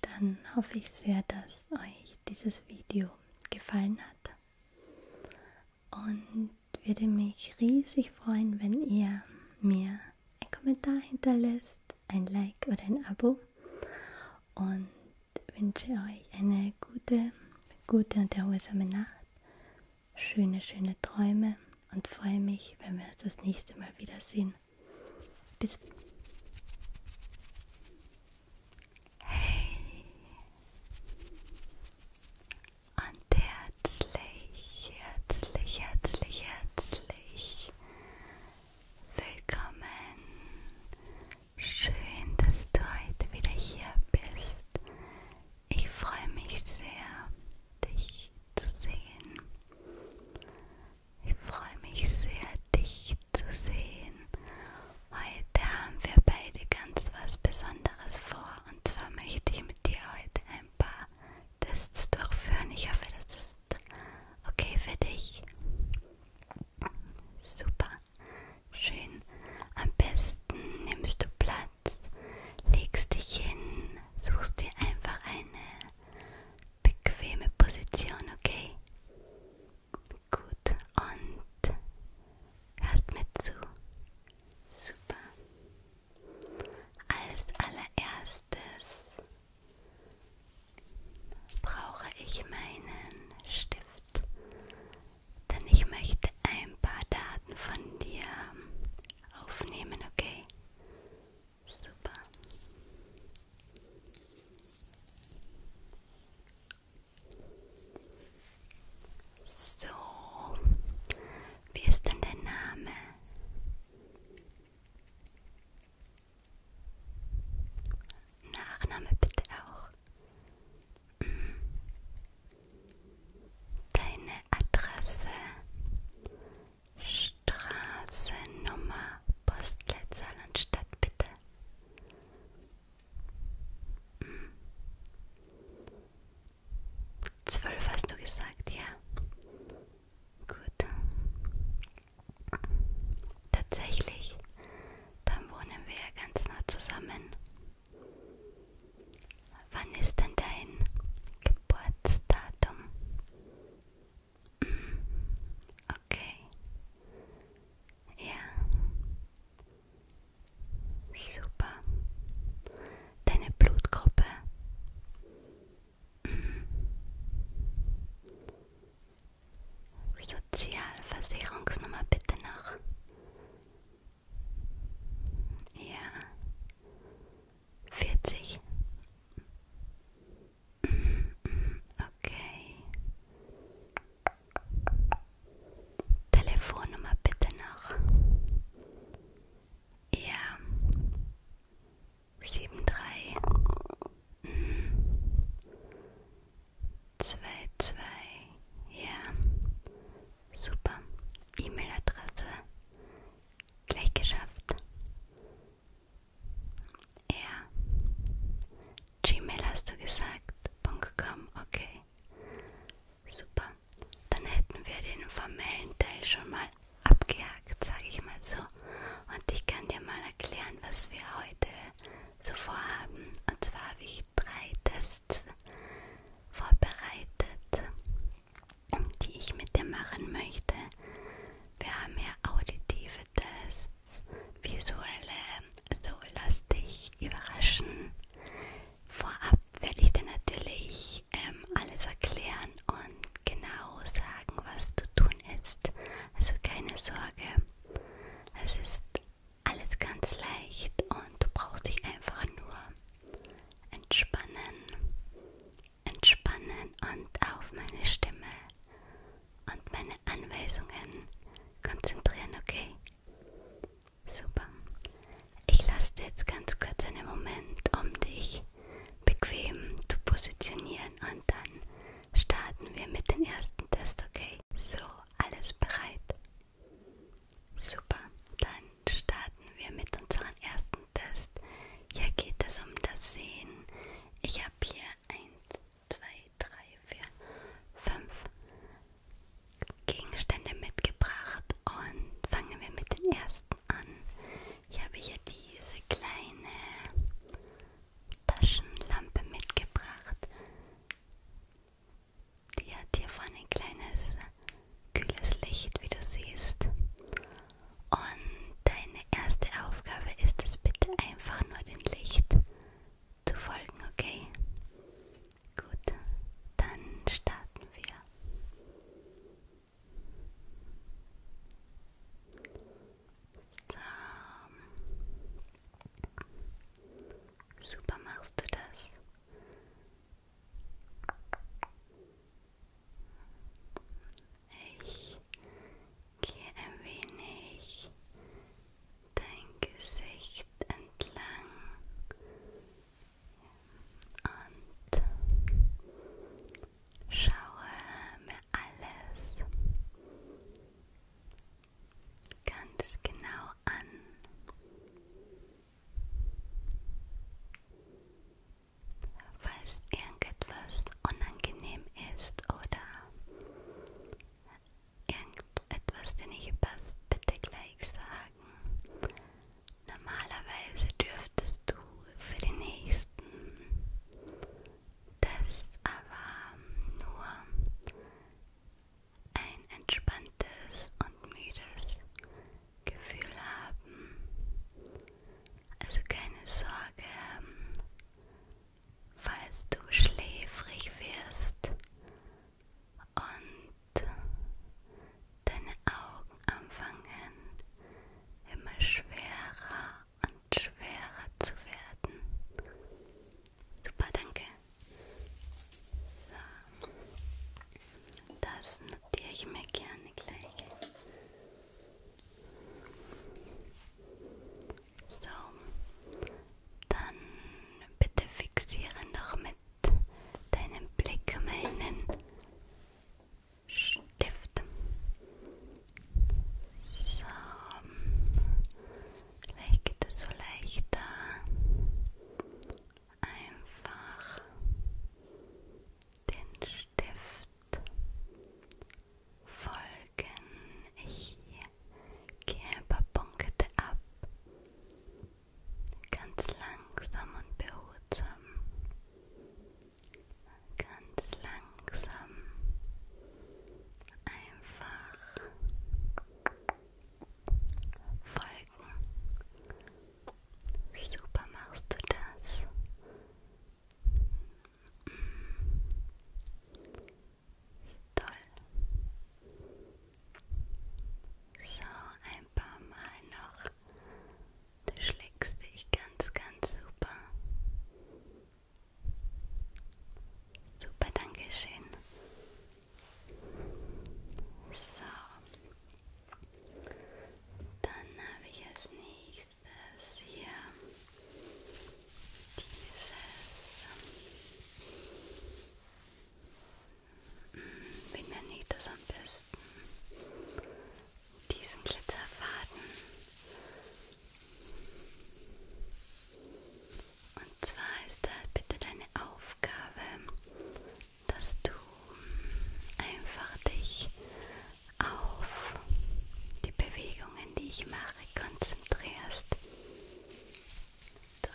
Dann hoffe ich sehr, dass euch dieses Video gefallen hat und würde mich riesig freuen, wenn ihr mir einen Kommentar hinterlässt, ein Like oder ein Abo und wünsche euch eine gute, gute und erholsame Nacht, schöne, schöne Träume und freue mich, wenn wir uns das nächste Mal wiedersehen. Bis. Hey. Und herzlich, herzlich, herzlich, herzlich willkommen Schön, dass du heute wieder hier bist. Ich freue mich sehr, dich zu sehen. Ich freue mich sehr, dich zu sehen. Heute haben wir beide ganz was Besonderes vor. Und zwar möchte ich mit dir heute ein paar Tests durchführen. Ich hoffe, das ist okay für dich. Super. Schön. Am besten nimmst du Platz, legst dich hin, suchst dir einfach eine bequeme Position, okay? Gut. Und hörst mir zu. Super. Als allererstes brauche ich meinen Stift. Denn ich möchte ein paar Daten von dir aufnehmen, okay? Super. So, wie ist denn dein Name? Nachname bitte auch. Deine Adresse, Straße, Nummer, Postleitzahl und Stadt bitte. Zwölf hast du gesagt, ja. Gut. Tatsächlich dann wohnen wir ja ganz nah zusammen. Wann ist denn dein Geburtsdatum? Mm, okay. Ja. Super. Deine Blutgruppe. Mm. Sozialversicherungsnummer bitte noch. Ja. Vierzig. Okay. Telefonnummer bitte noch. Ja. Sieben drei. Mhm zwei zwei ja super E-Mail-Adresse gleich geschafft ja Gmail hast du gesagt .com okay super dann hätten wir den formellen Teil schon mal abgehakt sage ich mal so und ich kann dir mal erklären was wir heute so vorhaben und zwar habe ich drei Tests Posts vorbereitet, die ich mit dir machen möchte. Wir haben hier auditive Tests, visuelle, so lass dich überraschen. Vorab werde ich dir natürlich ähm, alles erklären und genau sagen, was zu tun ist. Also keine Sorge, es ist alles ganz leicht und du brauchst dich einfach nur entspannen, entspannen und auf meine Stimme und meine Anweisungen konzentrieren, okay? Super. Ich lasse dir jetzt ganz kurz einen Moment, um dich bequem zu positionieren und dann starten wir mit dem ersten Test, okay? So, alles bereit? Super, dann starten wir mit unserem ersten Test. Hier geht es um das Sehen. Ich habe hier 1, 2, 3, 4, 5 Gegenstände mitgebracht und fangen wir mit den ersten an. Ich habe hier diese kleine Taschenlampe mitgebracht. Die hat hier vorne ein kleines kühles Licht, wie du siehst. Und deine erste Aufgabe ist es bitte einfach nur dem Licht zu folgen, okay? Gut, dann starten wir. So. Super machst du das. Ich gehe ein wenig dein Gesicht entlang und schaue mir alles ganz genau an. Falls irgendetwas unangenehm ist oder irgendetwas, der nicht passt, bitte gleich sagen. Normalerweise dürftest du für den nächsten Test aber nur ein entspanntes und müdes Gefühl haben. Also keine Sorge, ähm, falls du schläfrig wirst und deine Augen anfangen immer schwerer und schwerer zu werden. Super, danke. So. Das notiere ich mir gerne gleich. So, dann bitte fixiere noch mit deinem Blick meinen Stift. So, vielleicht geht es so leichter einfach den Stift folgen. Ich gebe Punkte ab, ganz langsam und behutsam, ganz langsam, einfach folgen. Super machst du das. Mm. Toll. So, ein paar Mal noch. Du schlägst dich ganz, ganz super. Super, danke schön. So. Dann habe ich als nächstes hier dieses. Hm, wie nenne ich das am besten? Diesen Glitzerfaden. Und und zwar ist halt bitte deine Aufgabe, dass du einfach dich auf die Bewegungen, die ich mache, konzentrierst. Toll.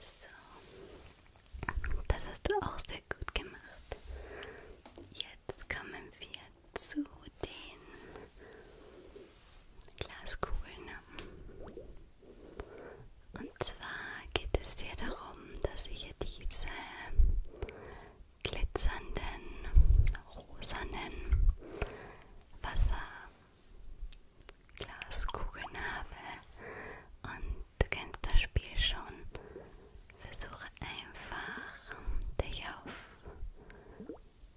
So, das hast du auch sehr gut gemacht. Jetzt kommen wir zu den Glaskugeln. Und zwar geht es hier darum, dass ich hier diese glitzernden, rosanen Wasser, Glaskugelnabel und du kennst das Spiel schon. Versuche einfach, dich auf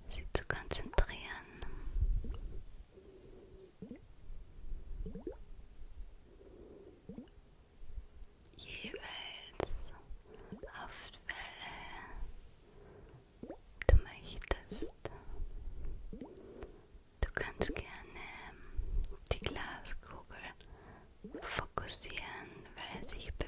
sie zu konzentrieren. Jeweils auf Welle du möchtest. Du kannst gerne ähm, die Glaskugel fokussieren, weil er sich bewegt.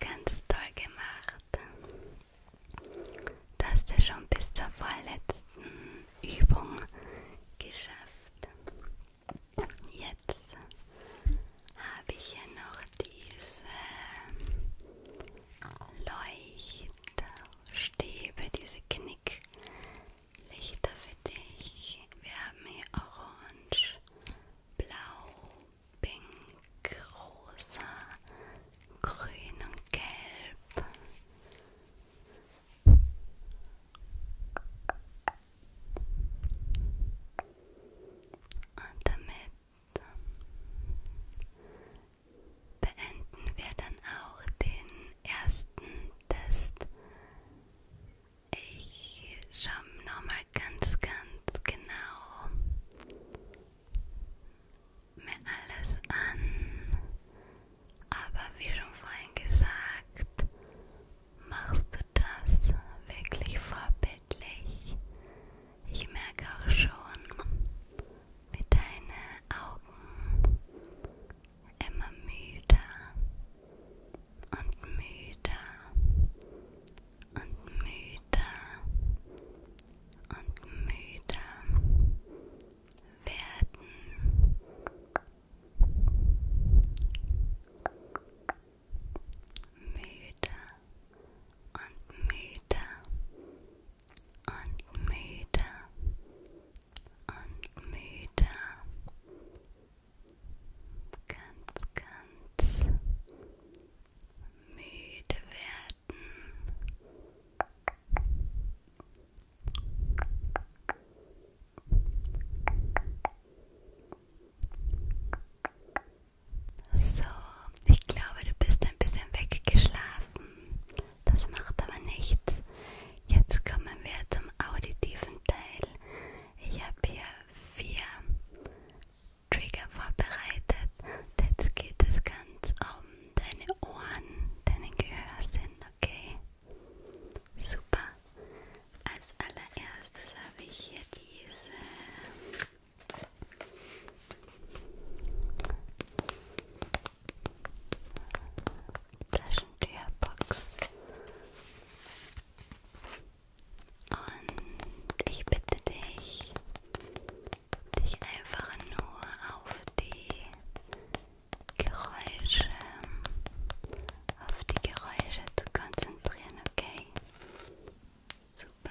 Ganz toll gemacht. Du hast ja schon bis zur vorletzten Übung geschafft. Jetzt habe ich ja noch diese Leuchtstäbe, diese Knicklichter für dich. Wir haben hier orange, blau, pink, rosa, grün und gelb. Und damit ähm, beenden wir dann auch den ersten Test. Ich schaue nochmal ganz, ganz genau mir alles an, aber wie schon vorhin gesagt, machst du das wirklich vorbildlich. Ich merke auch schon, wie deine Augen immer müder und müder und müder und müde werden. Müde und müde und müde und müde. Ganz, ganz müde werden. So, ich glaube, du bist ein bisschen weggeschlafen. Das macht aber nichts. Jetzt kommen wir zum auditiven Teil. Ich habe hier vier Trigger vorbereitet. Jetzt geht es ganz um deine Ohren, deine Gehör sind, okay? Super. Als allererstes habe ich hier diese Taschentürbox. Und ich bitte dich, dich einfach nur auf die Geräusche, auf die Geräusche zu konzentrieren, okay? Super.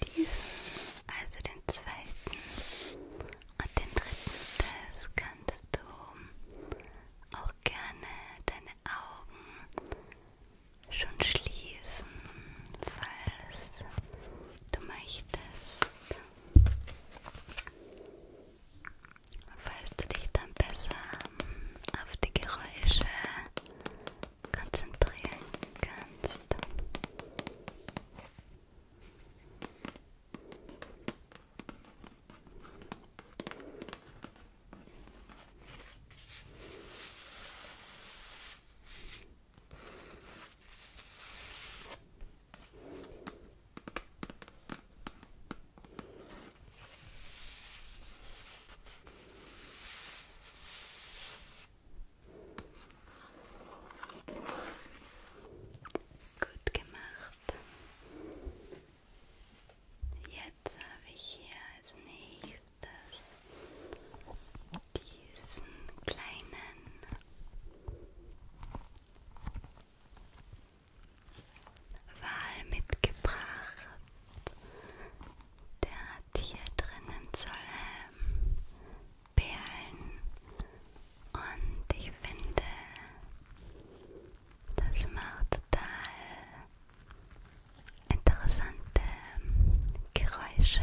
diesen, also den zweiten und den dritten Test kannst du auch gerne deine Augen schon schließen, falls du möchtest. Falls du dich dann besser auf die Geräusche konzentrieren kannst. Gut gemacht. Jetzt habe ich hier als nächstes diesen kleinen Wal mitgebracht. Der hat hier drinnen soll ähm, Perlen und ich finde, das macht total interessante Geräusche.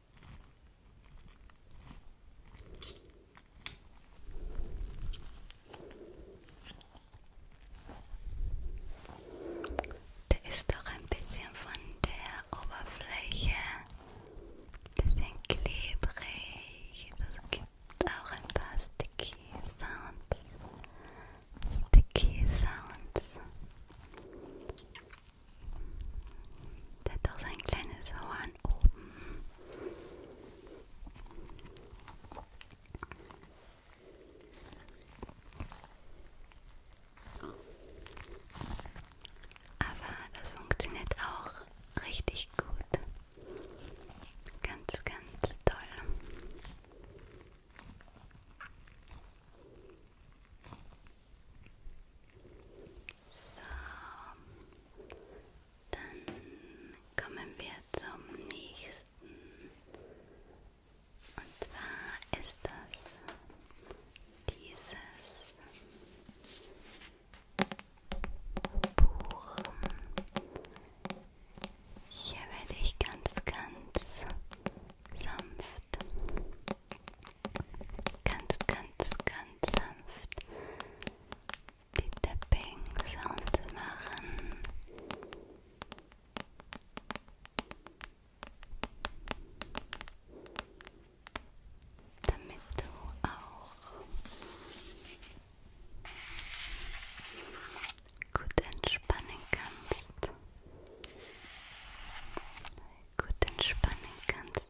Da ist auch ein bisschen von der Oberfläche, ein bisschen klebrig. Das gibt auch ein paar Sticky Sounds. Sticky Sounds. Der hat auch so ein kleines Horn von oben. Aber das funktioniert auch richtig gut. Ganz, ganz toll. So, dann kommen wir zum nächsten. Und zwar ist das dieses Buch. Hier werde ich ganz, ganz sanft, ganz, ganz, ganz sanft die Tapping Sounds machen. Damit du auch gut entspannen kannst. Gut entspannen kannst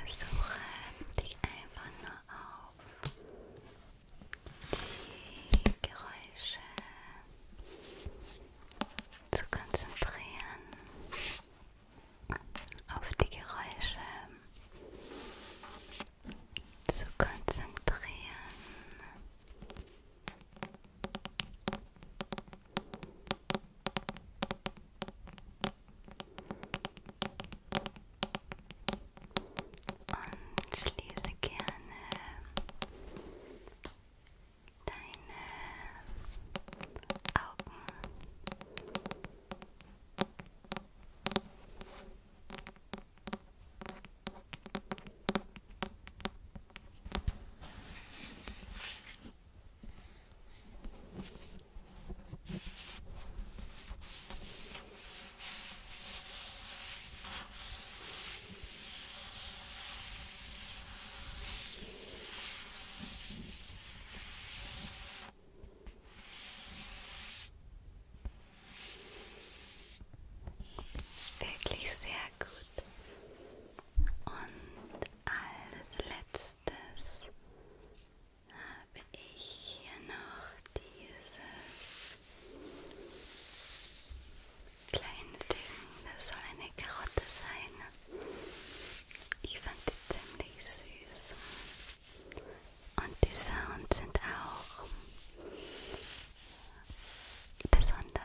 Versuche dich einfach nur auf die Geräusche zu konzentrieren, auf die Geräusche zu konzentrieren. Und schließe gerne deine Augen. Wirklich sehr gut. Und als letztes habe ich hier noch dieses kleine Ding. Das soll eine Karotte sein. Ich fand die ziemlich süß. Und die Sounds sind auch besonders.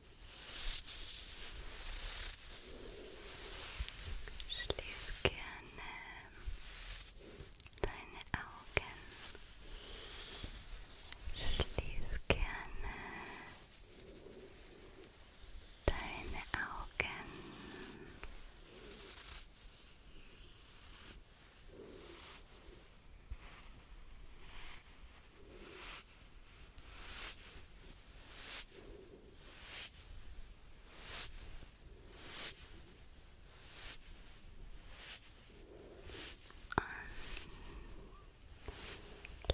Schließ gerne deine Augen. Schließ gerne deine Augen. Schließ und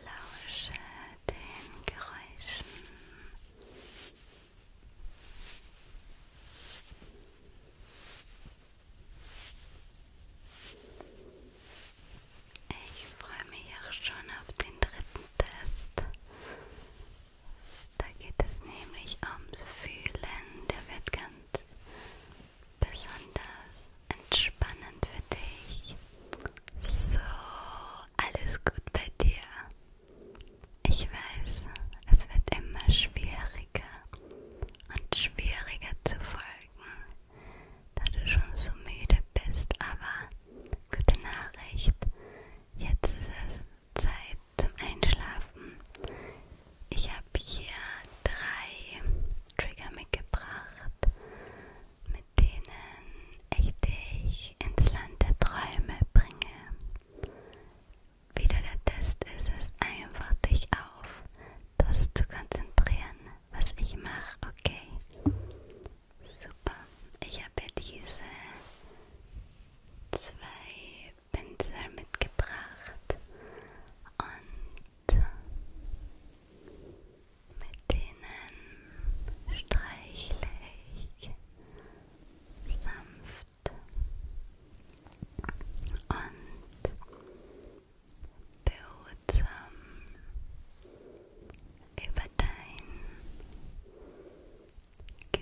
lausche den Geräuschen. Ich freue mich auch schon auf den dritten Test. Da geht es nämlich ums Fühlen. Der wird ganz besonders entspannend für dich. So, alles gut bei dir. Ich weiß, es wird immer schwieriger und schwieriger zu folgen, da du schon so müde bist, aber Gute Nachricht. Jetzt ist es Zeit zum Einschlafen. Ich habe hier drei Trigger mitgebracht, mit denen ich dich ins Land der Träume bringe. Wieder der Test ist es einfach, dich auf das zu konzentrieren, was ich mache, okay? Super, ich habe diese zwei Pinsel mitgebracht und mit denen streichle ich sanft und behutsam über dein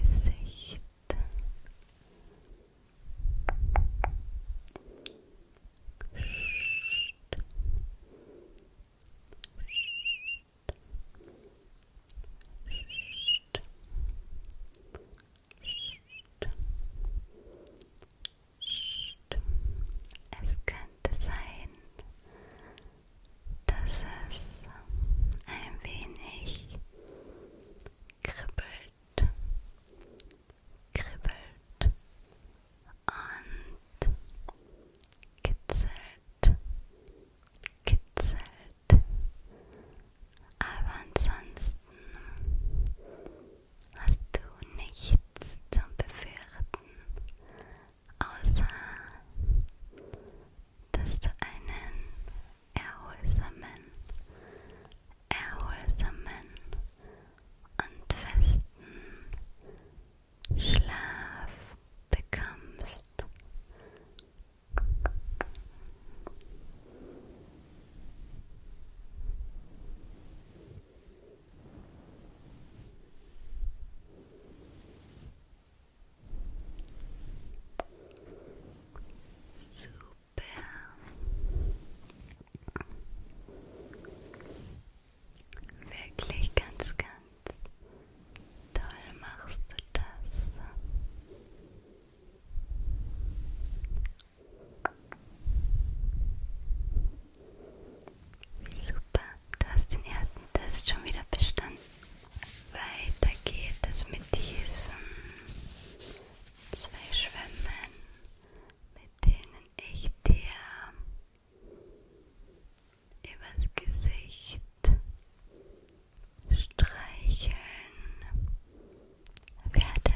Gesicht. Es könnte sein, dass es ein wenig kribbelt, kribbelt und kitzelt, kitzelt. Aber ansonsten hast du nichts zum Befürchten außer dass du einen erholsamen, erholsamen und festen Schlaf bekommst. Super. Wirklich ganz, ganz toll machst du das. Super, du hast den ersten Test schon wieder bestanden. Weiter geht es mit diesen zwei Schwämmen, mit denen ich dir übers Gesicht streicheln werde.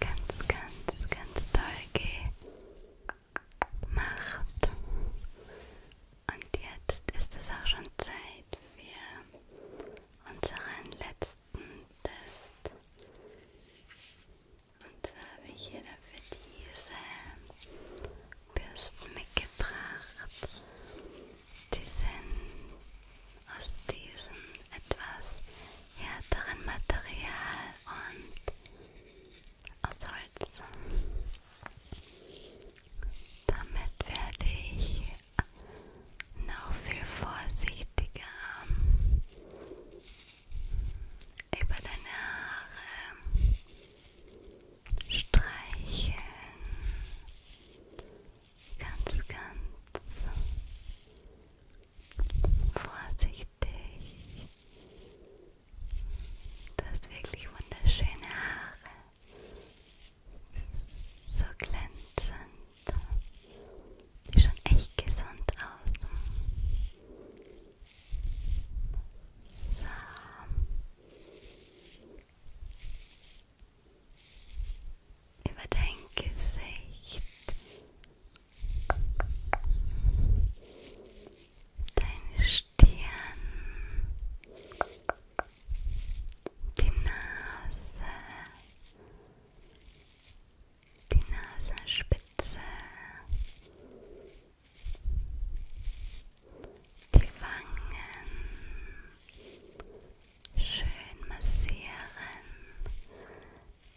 Ganz, ganz, ganz toll gemacht. Und jetzt ist es auch schon Zeit für unseren letzten Test. Und zwar habe ich hier dafür diese Bürsten mitgebracht. Die sind aus diesem etwas härteren Material und aus Holz. Damit werde ich noch viel vorsichtiger ähm, über deine Haare streicheln. Ganz, ganz vorsichtig. Du hast wirklich wunderschöne Haare so glänzend. Sieht schon echt gesund aus. So. Über dein Gesicht, deine Stirn, die Nase, die Nasenspitze, die Wangen, schön massieren,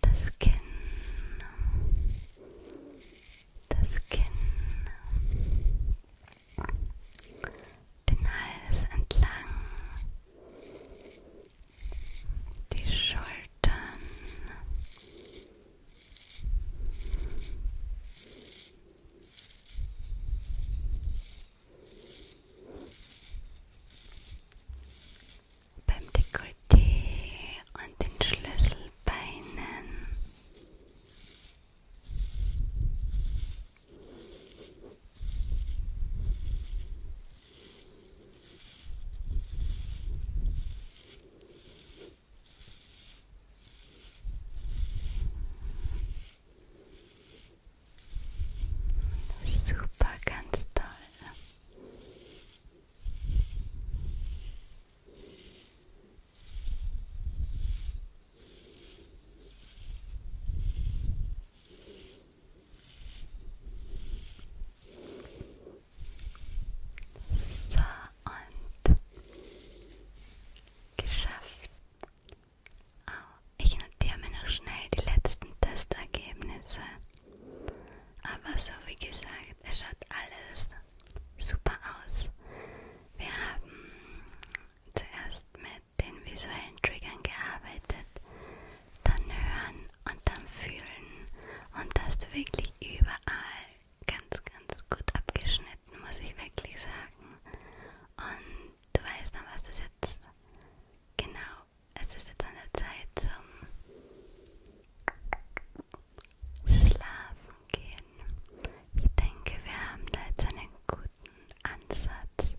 das Kinn, das Kinn den Hals entlang, die Schultern. Beim Dekolleté und den Schlüsselbeinen. Super, ganz toll. So und geschafft. Oh, ich notiere mir noch schnell die letzten Testergebnisse. Aber so wie gesagt, es schaut alles super aus. Wir haben zuerst mit mit den visuellen Triggern gearbeitet, dann hören und dann fühlen und das du wirklich überall ganz, ganz gut abgeschnitten, muss ich wirklich sagen. Und du weißt dann, was es jetzt genau, es ist jetzt an der Zeit zum Schlafen gehen. Ich denke, wir haben da jetzt einen guten Ansatz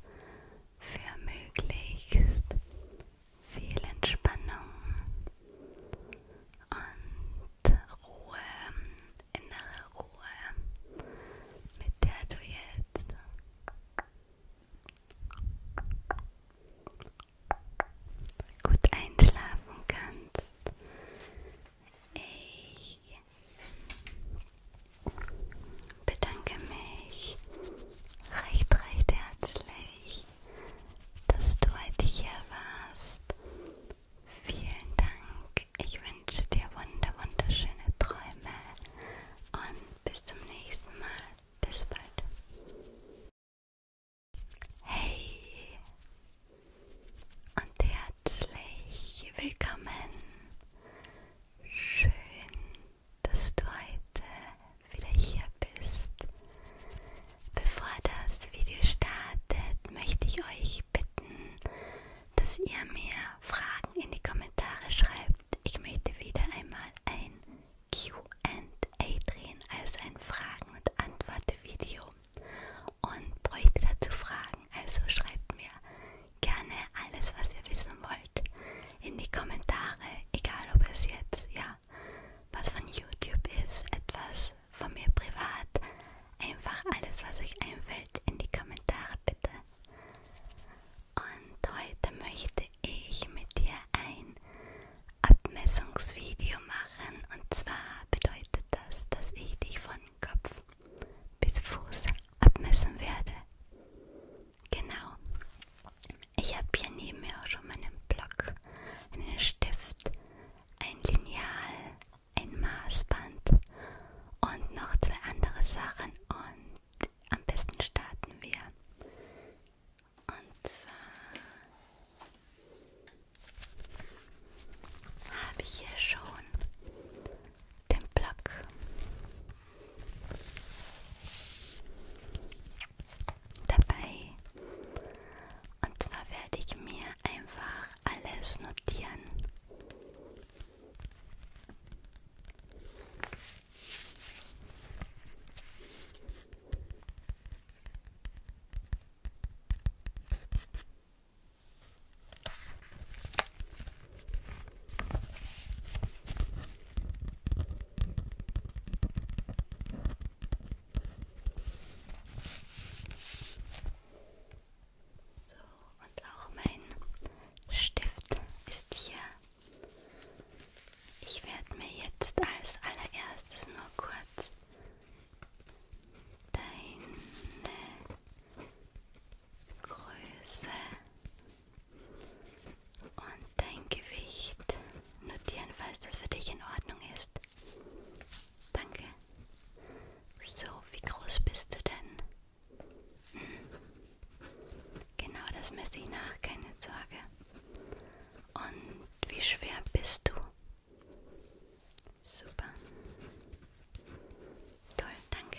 für möglichst viel Entspannung und Ruhe, innere Ruhe, mit der du jetzt gut einschlafen kannst. Ich bedanke mich recht, recht herzlich, dass du heute hier warst. Vielen Dank. Ich wünsche dir wunder, wunderschöne Träume und bis zum nächsten Mal. Bis bald. Hey und herzlich willkommen. Schön, dass du heute wieder hier bist. Bevor das Video startet, möchte ich euch bitten, dass ihr mir Fragen in die Kommentare schreibt. Ich möchte wieder einmal ein QA drehen, also ein Fragen- und Antwort-Video und bräuchte dazu Fragen. Also schreibt mir gerne alles, was ihr wissen wollt, in die Kommentare, egal ob es jetzt, ja, was von YouTube ist, etwas von mir privat, einfach alles, was euch einfällt, in die Kommentare bitte. Und heute möchte ich mit dir ein Abmessungsvideo machen und zwar bedeutet das, dass ich dich von Kopf bis Fuß abmessen werde. Genau. Ich habe hier neben mir auch schon meinen Block, einen Stift, ein Lineal, ein Maßband und noch zwei andere Sachen. Und am besten starten wir. Und zwar habe ich hier schon den Plug. Dabei. Und zwar werde ich mir einfach alles notieren. So, und auch mein Stift ist hier. Ich werde mir jetzt als allererstes nur kurz deine Größe und dein Gewicht notieren, falls das für dich in Ordnung ist. Danke. So, wie groß bist du denn? Genau das messe ich nach, keine Sorge. Und wie schwer bist du? Super. Toll, danke.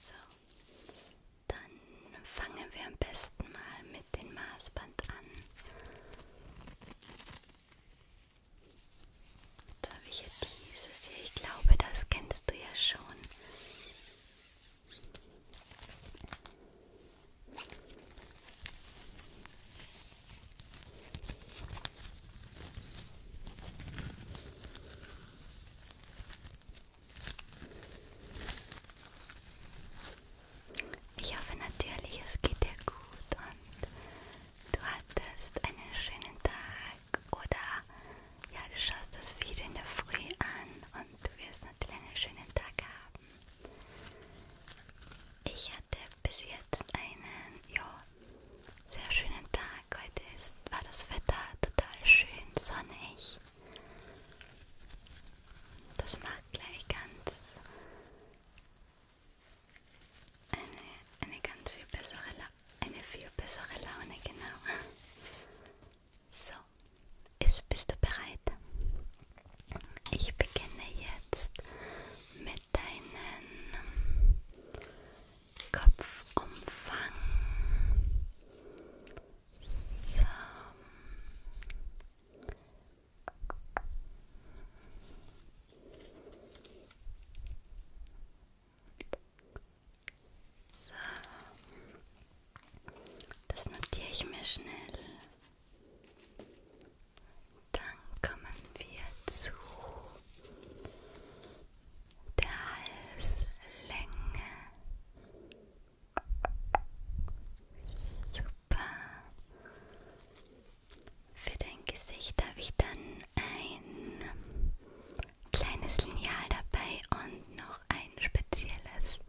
So, dann fangen wir am besten mal mit dem Maßband an. Jetzt habe ich hier dieses hier. Ich glaube, das kennst du ja schon. Ich hoffe natürlich, es geht dir gut und du hattest einen schönen Tag oder ja, du schaust das Video in der Früh an und du wirst natürlich einen schönen Tag haben. Ich hatte bis jetzt einen, ja, sehr schönen Tag. Heute ist, war das Wetter total schön sonnig. Das macht gleich ganz eine, eine ganz viel bessere, eine viel bessere Laune, genau. So, ist, bist du bereit? Ich beginne jetzt mit deinen Kopfumfang. So. So. Das notiere ich mir schnell. Dann kommen wir zu der Halslänge. Super super. Für dein Gesicht habe ich dann ein kleines Lineal dabei und noch ein spezielles.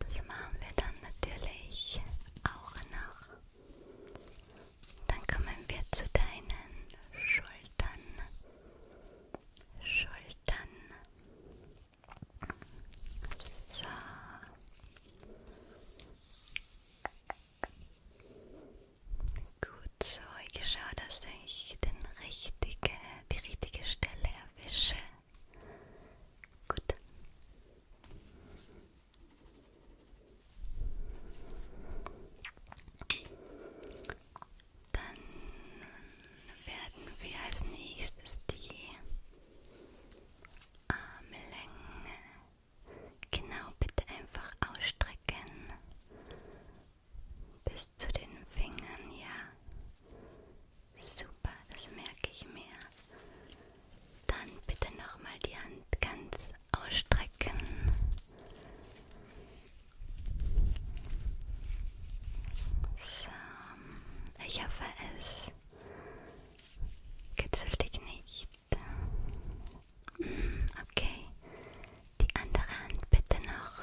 Das machen wir dann natürlich auch noch. Dann kommen wir zu deinen Schultern. Schultern. So. Gut so, ich schaue, dass ich den richtige, die richtige Stelle erwische. Gut. Dann werden wir als nächstes die Armlänge Genau, bitte einfach ausstrecken. Bis zu den Fingern, ja. Super, das merke ich mir. Dann bitte nochmal die Hand ganz ausstrecken. So, ich hoffe es kitzelt dich nicht. Okay. Die andere Hand bitte noch.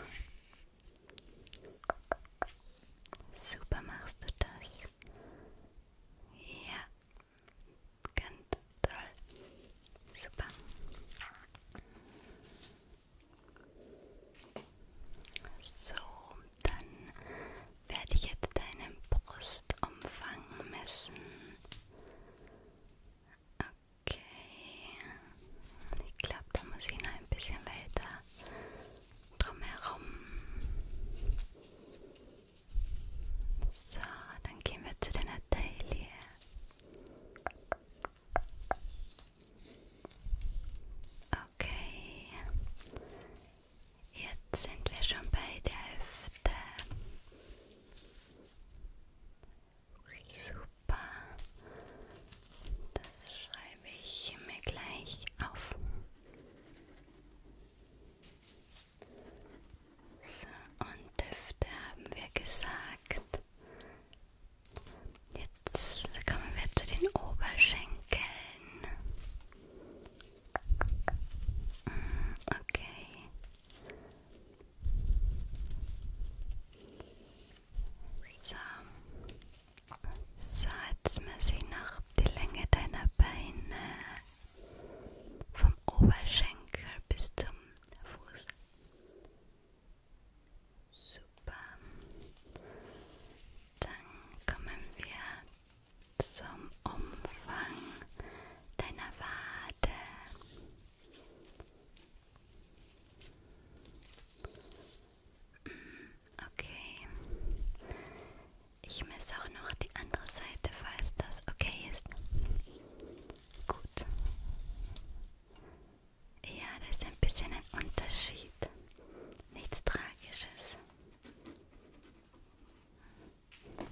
Super machst du das. Ja. Ganz toll. Super. So, dann werde ich jetzt deinen Brustumfang messen. Okay. Ich glaube, da muss ich noch ein bisschen weiter drumherum. So, dann gehen wir zu deiner Taille. Okay. Jetzt sind wir schon bei der Hüfte. Super. Das schreibe ich mir gleich auf. So, und Hüfte haben wir gesagt. Jetzt kommen wir zu den Oberschenkeln. Okay. So. So, jetzt muss ich noch die Länge deiner Beine vom Oberschenkel bis zum Fuß. Super. Dann kommen wir zum Umfang deiner Wade. Mm, okay. Ich messe auch noch die andere Seite, falls das okay ist. Gut. Ja, das ist ein bisschen ein Unterschied. Nichts Tragisches. So.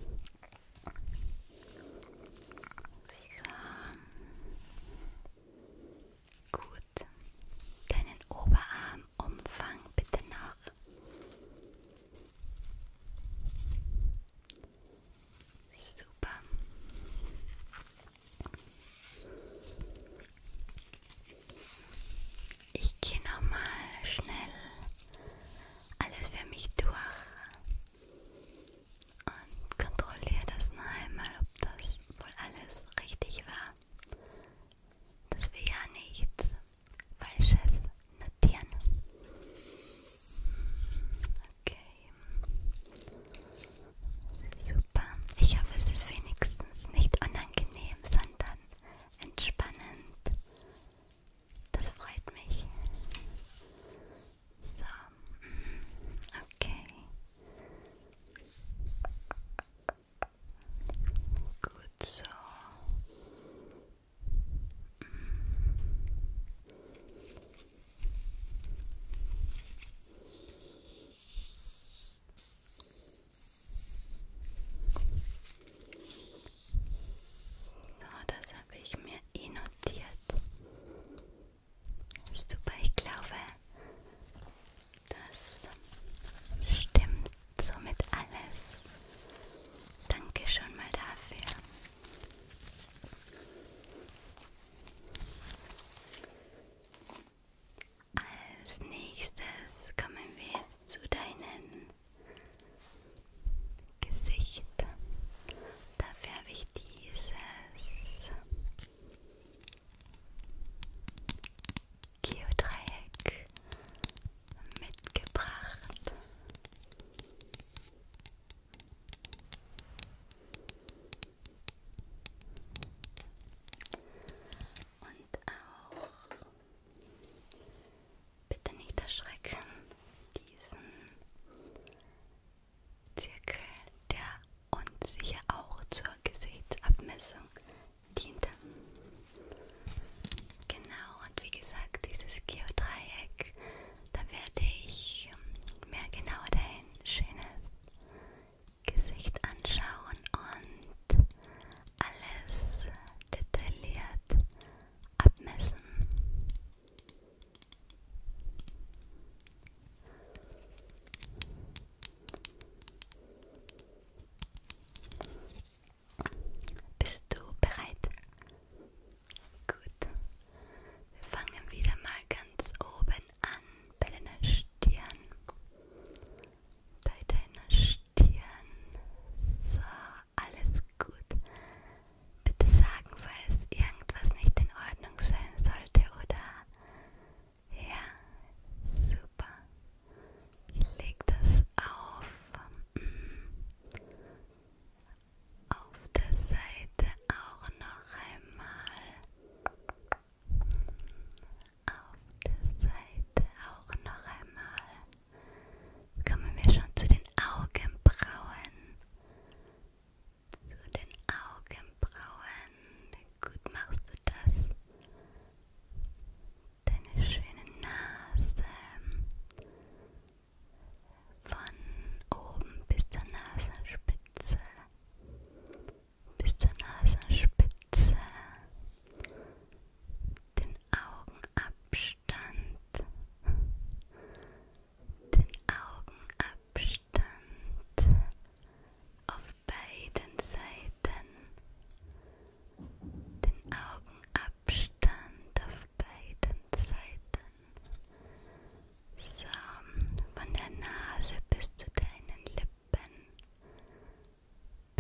Gut. Deinen Oberarmumfang bitte noch. Super. Ich gehe nochmal schnell alles für mich durch und kontrolliere das noch einmal, ob das wohl alles richtig war, dass wir ja nichts Falsches notieren. Okay. Super. Ich hoffe, es ist wenigstens nicht unangenehm, sondern entspannend Das freut mich. So, okay. Gut so. So, das habe ich mir eh notiert. Super, ich glaube, das stimmt somit alles. Danke schon mal dafür. Als nächstes kommen wir jetzt zu deinen Gesicht. Dafür habe ich dieses Geodreieck mitgebracht. Und auch Bitte nicht erschrecken. Diesen Zirkel, der uns sicher auch zur Gesichtsabmessung diente. Genau, und wie gesagt, dieses Geodreieck, da werde ich ähm, mir genau dein schönes Gesicht anschauen und alles detailliert abmessen. Bist du bereit? Gut. Wir fangen wieder mal ganz oben an bei deiner Stirn. Bei deiner Stirn. So, alles gut bitte sagen, falls irgendwas nicht in Ordnung sein sollte, oder? Ja, super. Ich lege das auf, mm, auf der Seite auch noch einmal. Auf der Seite auch noch einmal kommen wir schon zu den Augenbrauen. Zu den Augenbrauen. Gut machst du das. Deine schöne Nase. Von oben bis zur Nasenspitze. Bis zur Nasenspitze. Den den Augenabstand, den Augenabstand auf beiden Seiten, den Augenabstand auf beiden Seiten. So, von der Nase bis zu deinen Lippen.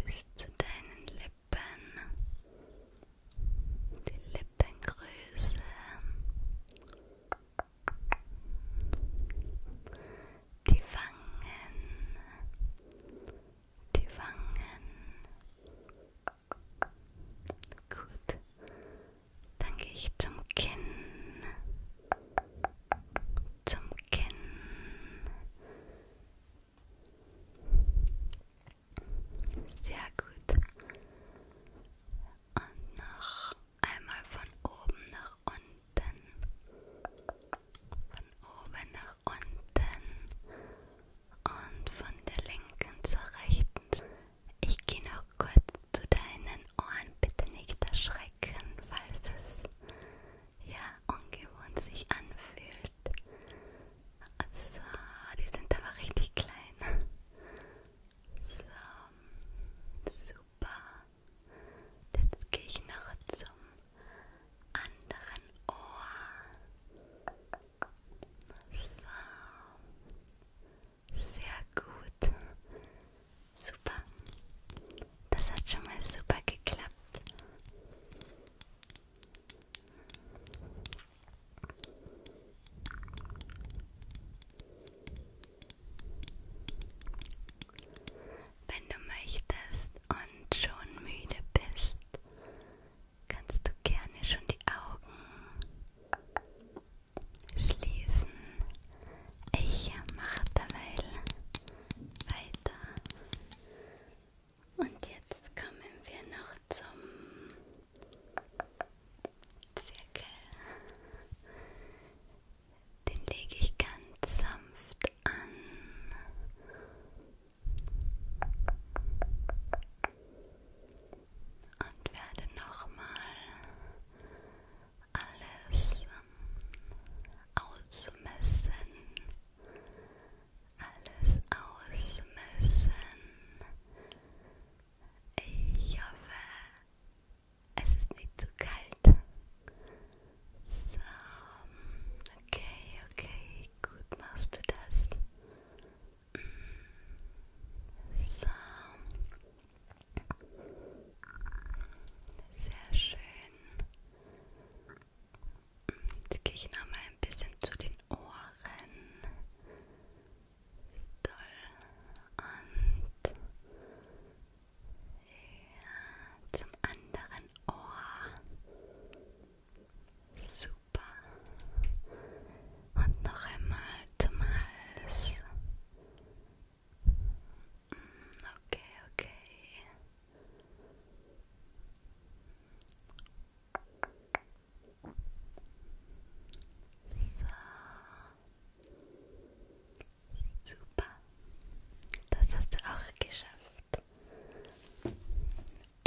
Bis zu deinen Lippen die Lippengröße, die Wangen, die Wangen. Gut, dann gehe ich zum Kinn, zum Kinn. Sehr gut. Und noch einmal von oben nach unten. Von oben nach unten. Und von der linken zur rechten. Ich gehe noch kurz zu deinen Ohren. Bitte nicht erschrecken, falls es ja ungewohnt sich anfühlt. So, die sind aber richtig klein. So, super. Jetzt gehe ich noch zum anderen Ohr. So, sehr gut. Super. Das hat schon mal super geklappt. Wenn du möchtest und schon müde bist, kannst du gerne schon die Augen schließen. Ich mache dabei weiter. Und jetzt kommen wir noch zum Zirkel. Den lege ich ganz sanft an. Und werde nochmal alles ausmessen. Alles ausmessen. Ich hoffe, es ist nicht zu kalt. So, okay, okay, gut machst du das. So, sehr schön. Jetzt gehe ich noch mal ein bisschen zu den Ohren. und ja, zum anderen Ohr. Super. Und noch einmal zum Hals. Okay, okay. So. Super. Das hast du auch geschafft.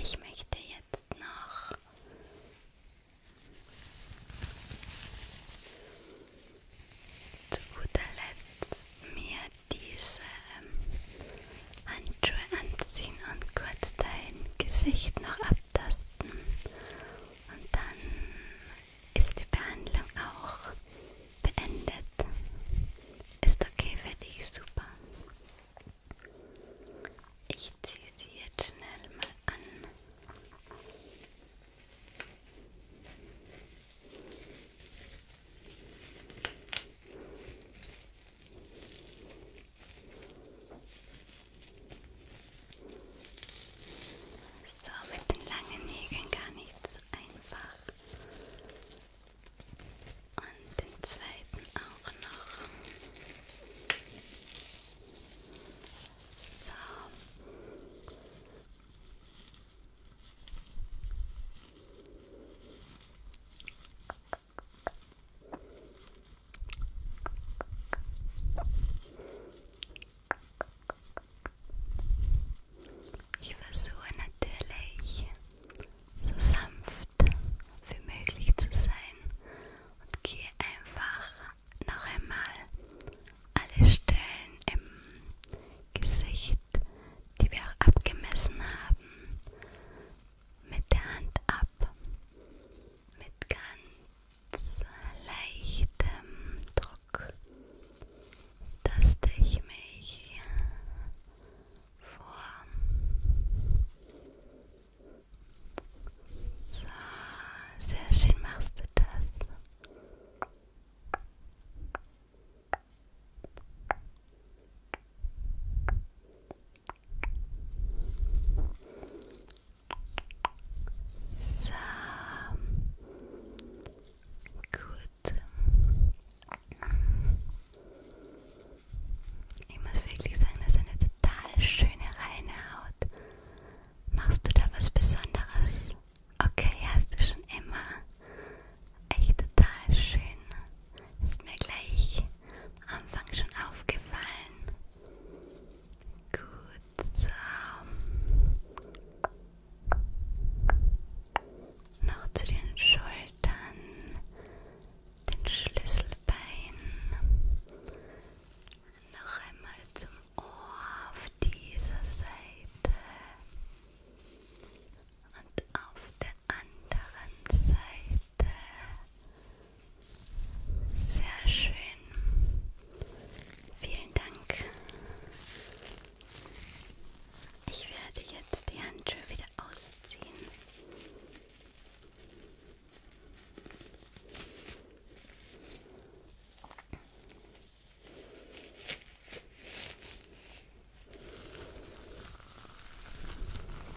Ich möchte jetzt noch zu guter Letzt mir diese Handschuhe anziehen und kurz dein Gesicht noch ab abtasten und dann ist die Behandlung auch beendet. Ist okay für dich, super. Ich ziehe sie jetzt schnell mal an. So, mit den langen Nägeln gar nicht so einfach. Und den zweiten auch noch. So. Ich versuche natürlich so sanft wie möglich zu sein und gehe einfach noch einmal alle Stellen im Gesicht, die wir auch abgemessen haben, mit der Hand ab, mit ganz ganz leichtem Druck, dass ich mich vor so, sehr schön machst du das. So. Gut. Ich muss wirklich sagen, das ist eine total schöne reine Haut. Machst du da was Besonderes? Okay, hast du schon immer. Echt total schön. Ist mir gleich am Anfang schon aufgefallen. Gut kurz ähm, noch zu den Schultern, den Schlüsselbeinen, noch einmal zum Ohr auf dieser Seite und auf der anderen Seite. Sehr schön. Vielen Dank. Ich werde jetzt die Handschuhe wieder ausziehen. Sehr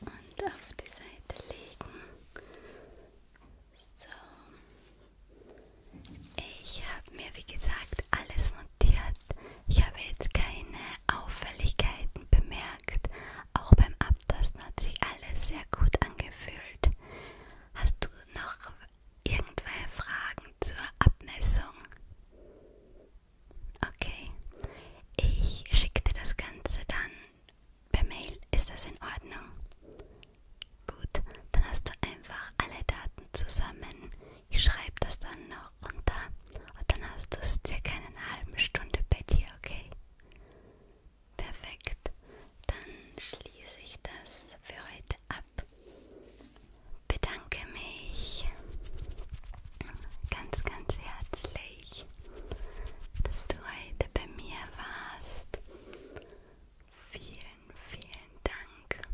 und auf die Seite legen. So. Ich habe mir, wie gesagt, alles notiert. Ich habe jetzt keine Auffälligkeiten bemerkt. Auch beim Abtasten hat sich alles sehr gut angefühlt. Hast du noch irgendwelche Fragen zur Abmessung? Okay. Ich schicke dir das Ganze dann per Mail. Ist das in Ordnung? Gut, dann hast du einfach alle Daten zusammen. Ich schreibe das dann noch runter und dann hast du es circa in einer halben Stunde bei dir, okay? Perfekt. Dann schließe ich das für heute ab bedanke mich ganz, ganz herzlich, dass du heute bei mir warst. Vielen, vielen Dank.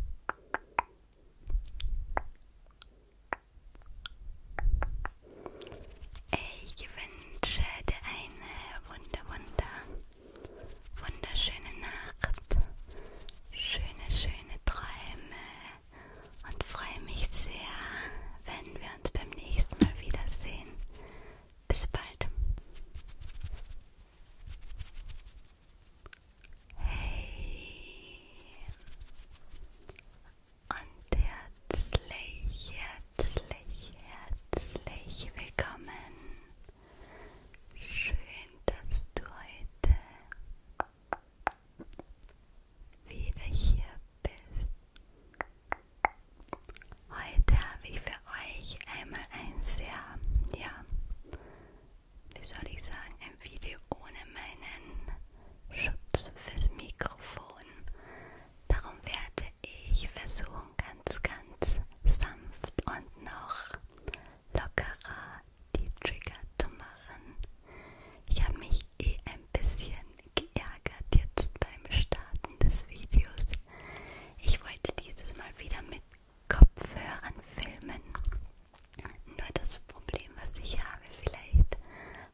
Ich wünsche dir eine wunder, wunder, wunderschöne Nacht, schöne, schöne Träume und freue mich sehr, wenn wir uns beim nächsten Mal wiedersehen. Bis bald. Hey und herzlich, herzlich, herzlich willkommen. Schön, dass du heute wieder hier bist. Heute habe ich für euch einmal ein sehr, ja, wie soll ich sagen, ein Video ohne meinen Schutz fürs Mikrofon. Darum werde ich versuchen, ganz, ganz sanft und noch lockerer die Trigger zu machen. Ich habe mich mich eh ein bisschen geärgert jetzt beim Starten des Videos. Ich wollte dieses Mal wieder mit Kopfhörern filmen. Nur das Problem, was ich habe, vielleicht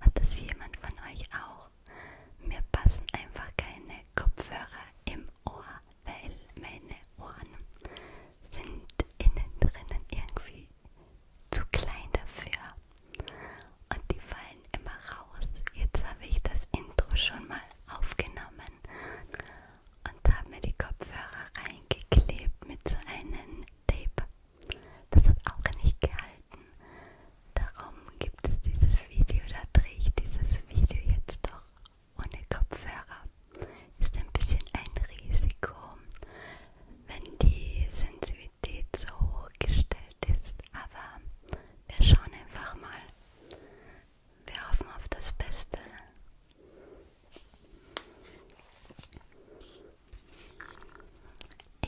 hat das jemand von euch auch. Mir passen einfach keine Kopfhörer im Ohr, weil meine Ohren sind innen drinnen irgendwie zu klein dafür. Und die fallen immer raus. Jetzt habe ich das Intro schon mal aufgenommen und habe mir die Kopfhörer reingeklebt mit so einem Tape. Das hat auch nicht gehalten. Darum gibt es dieses Video, da drehe ich dieses Video jetzt doch ohne Kopfhörer. Ist ein bisschen ein Risiko wenn die Sensitivität so hoch gestellt ist. Aber wir schauen einfach mal. Wir hoffen auf das Beste.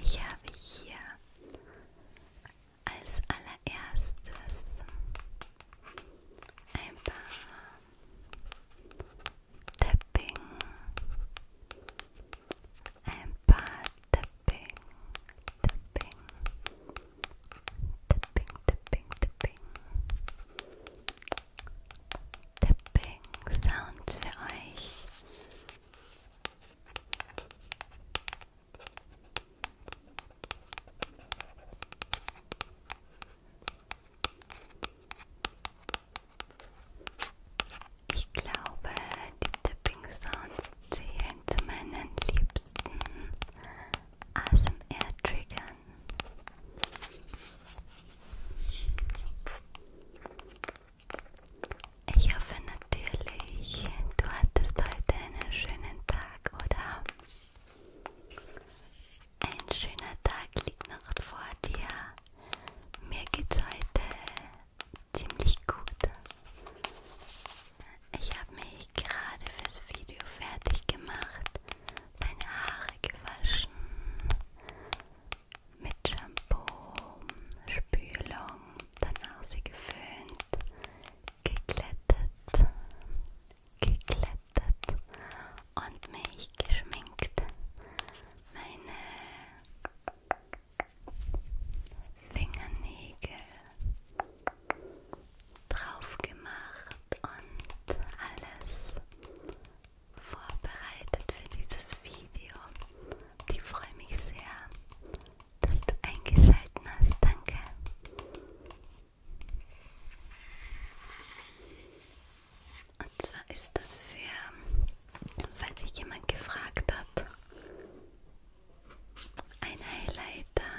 Ich habe hier als allererstes ein paar tapping and part tapping, tapping, tapping, tapping, tapping, tapping Sound für euch. Ich glaube, die Tipping Sounds zählen zu meinen liebsten ASMR-Triggern. Ich hoffe natürlich, du hattest heute einen schönen Tag, oder? Ein schöner Tag liegt noch vor dir. Mir geht's heute ziemlich gut. Ich habe mich gerade fürs Video fertig gemacht, meine Haare gewaschen mit Shampoo, Spülung, danach sie geföhnt, geglättet, geglättet und mich geschminkt. Meine Fingernägel drauf gemacht und alles vorbereitet für dieses Video. Ich freue mich sehr, dass du eingeschaltet hast. Danke. Und zwar ist das für falls sich jemand gefragt hat, ein Highlighter.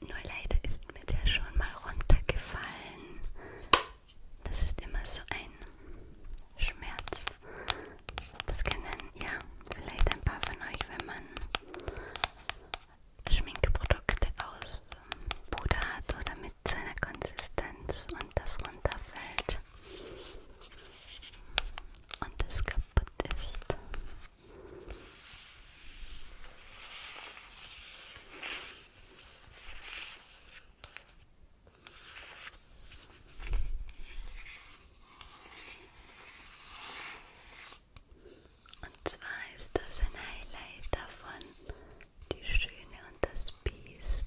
Nur leider ist mir der schon mal runtergefallen. Das ist immer so ein Schmerz. Das kennen ja vielleicht ein paar von euch, wenn man Schminkprodukte aus Puder hat oder mit so einer Konsistenz und das runterfällt und es kaputt ist. Und zwar ist das ein Highlight davon, die Schöne und das Biest.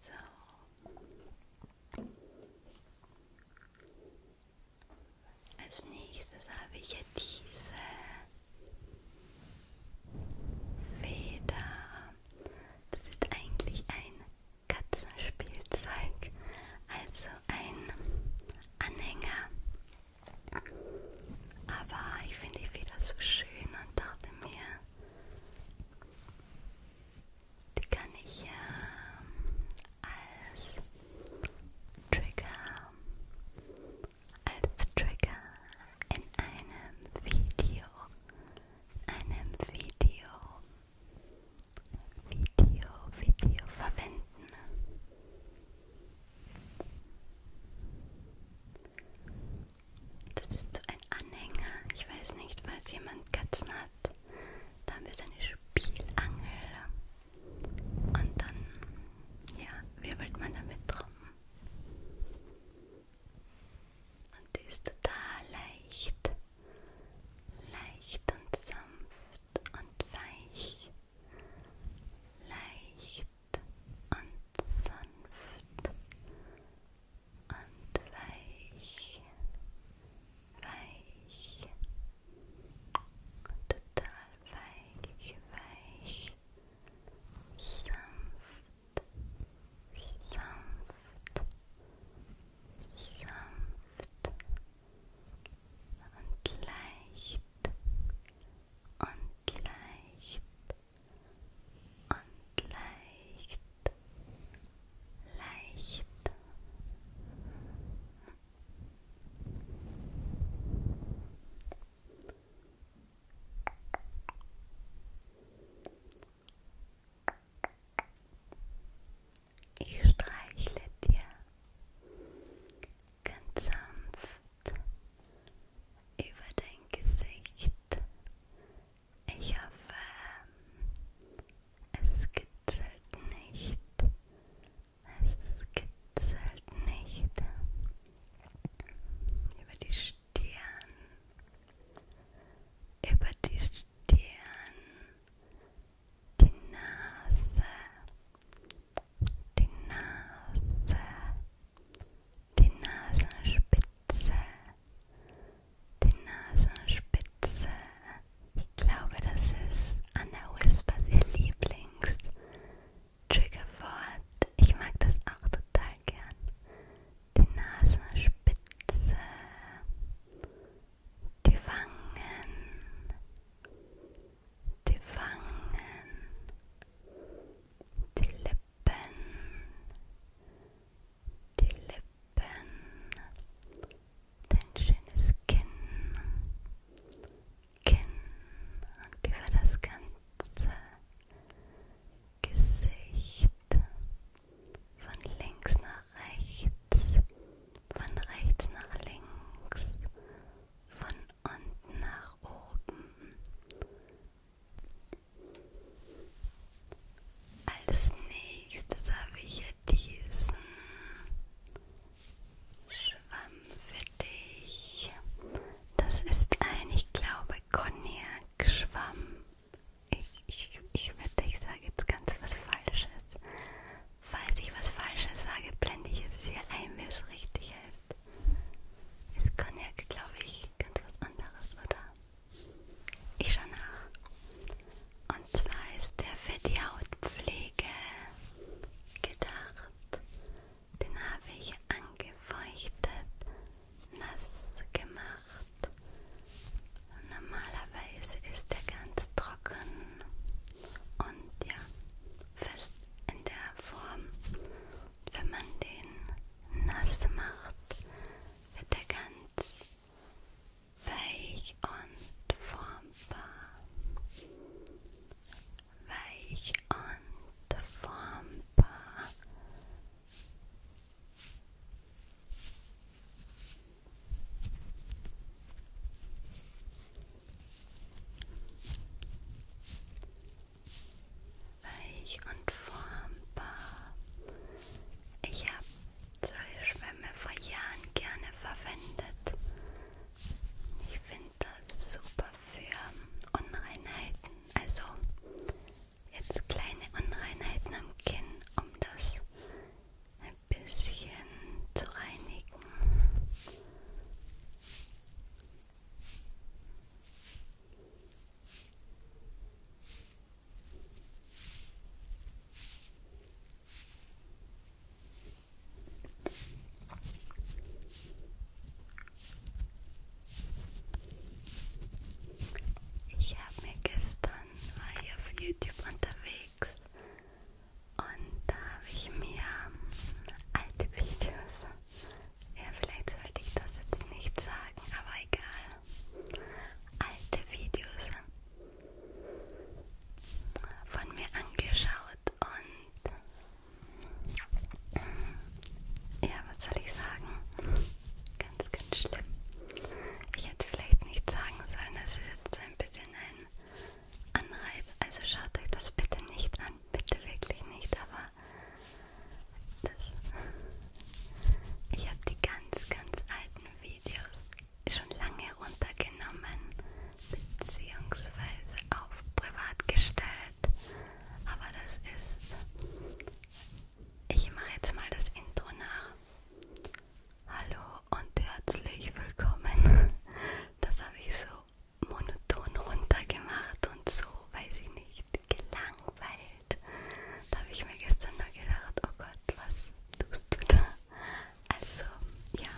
So. Als nächstes habe ich ja diese Feder. Das ist eigentlich ein Katzenspielzeug, also ein Anhänger. Aber ich finde die wieder so schön und dachte mir, die kann ich ja ähm, als Trigger, als Trigger in einem Video, in einem Video, Video, Video verwenden. Das ist so ein Anhänger. Ich weiß nicht, falls jemand Katzen hat. Da haben wir so eine Spielangel. Und dann, ja, wirbelt man damit drum. Und die ist total leicht. Leicht und sanft und weich. Leicht und sanft und weich, weich, total weich, weich, sanft, sanft, sanft und leicht und leicht und leicht, leicht. Ich streichle dir ganz sanft über dein Gesicht. Ich hoffe, es kitzelt nicht. Es kitzelt nicht. Über die Stirn. Über die Stirn. Die Nase. Die Nase die Nasenspitze, die Nasenspitze. Ich glaube, das ist Anna Whispers ihr Lieblings Triggerwort. Ich mag das auch total gern. Die Nasenspitze, die Wangen, die Wangen, die Lippen die Lippen, dein schönes Kinn, Kinn und über das ganze Gesicht, von links nach rechts, von rechts nach links, von unten nach oben, als nächstes habe ich hier diesen Schwamm für dich. Das ist ein, ich glaube, Cognac-Schwamm. Ich, ich, ich wette, ich sage jetzt ganz was Falsches. Falls ich was Falsches sage, blende ich es hier ein, wie es richtig heißt. Ist Cognac, glaube ich ganz was anderes, oder? Ich schaue nach. Und zwar ist der für die Hautpflege gedacht. Den habe ich angefeuchtet, nass gemacht. Normalerweise ist der ganz trocken und ja, fest in der Form. Und wenn man den nassmacht, wird er ganz weich und formbar. Weich und formbar. weich und formbar. Ich habe solche Schwämme vor Jahren gerne verwendet. Ich finde das super für Unreinheiten, also jetzt kleine Unreinheiten am Kinn, um das ein bisschen zu reinigen. Ich habe mir gestern, war ich auf YouTube unterwegs und da habe ich mir alte Videos ja, vielleicht sollte ich das jetzt nicht sagen, aber egal. Alte Videos von mir angeschaut und ja, was soll ich sagen? Ganz, ganz schlimm. Ich hätte vielleicht nicht sagen sollen, das ist jetzt ein bisschen ein Anreiz. Also schaut euch das bitte nicht an, bitte wirklich nicht, aber das ich habe die ganz, ganz alten Videos schon lange runtergenommen beziehungsweise auf privat gestellt. Aber das ist... Ich mache jetzt mal das Intro nach. Hallo und herzlich willkommen. Das habe ich so monoton runtergemacht und so, weiß ich nicht echt gelangweilt. Da habe ich mir gestern nur gedacht, oh Gott, was tust du da? Also, ja,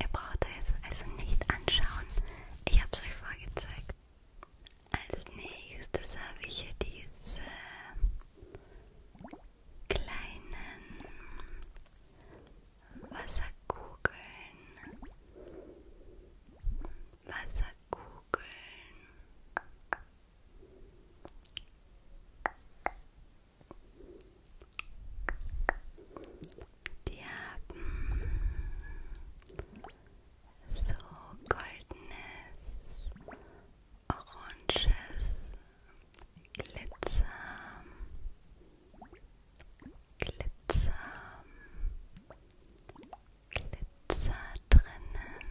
ihr braucht es also nicht anschauen. Ich habe es euch vorgezeigt. Als nächstes habe ich hier diese kleinen Wasserkugeln. Wasserkugeln. Die haben so goldenes, oranges Glitzer, Glitzer, Glitzer drinnen.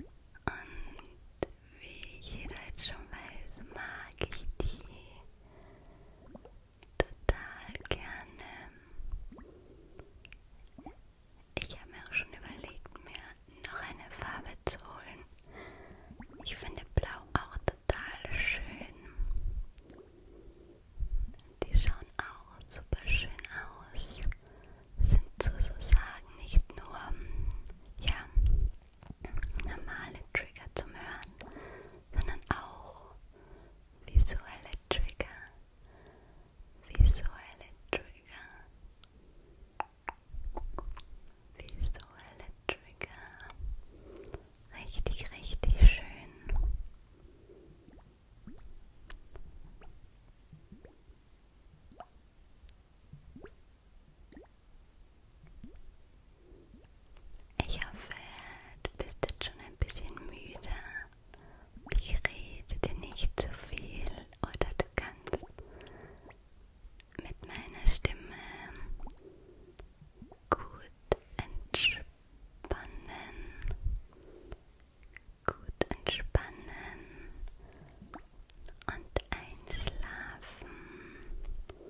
Und wie jeder jetzt schon weiß, mag ich die total gerne. Ich habe mir auch schon überlegt, mir noch eine Farbe zu holen. Ich finde Blau auch total schön. Die schauen auch super schön aus sind sozusagen nicht nur ja, normale Trigger zum Hören, sondern auch visuelle Trigger, visuelle Trigger, visuelle Trigger, richtig, richtig schön. Ich hoffe, du bist jetzt schon ein bisschen müde. Ich rede dir nicht zu so viel oder du kannst mit meiner Stimme gut entspannen gut entspannen und einschlafen. Gut.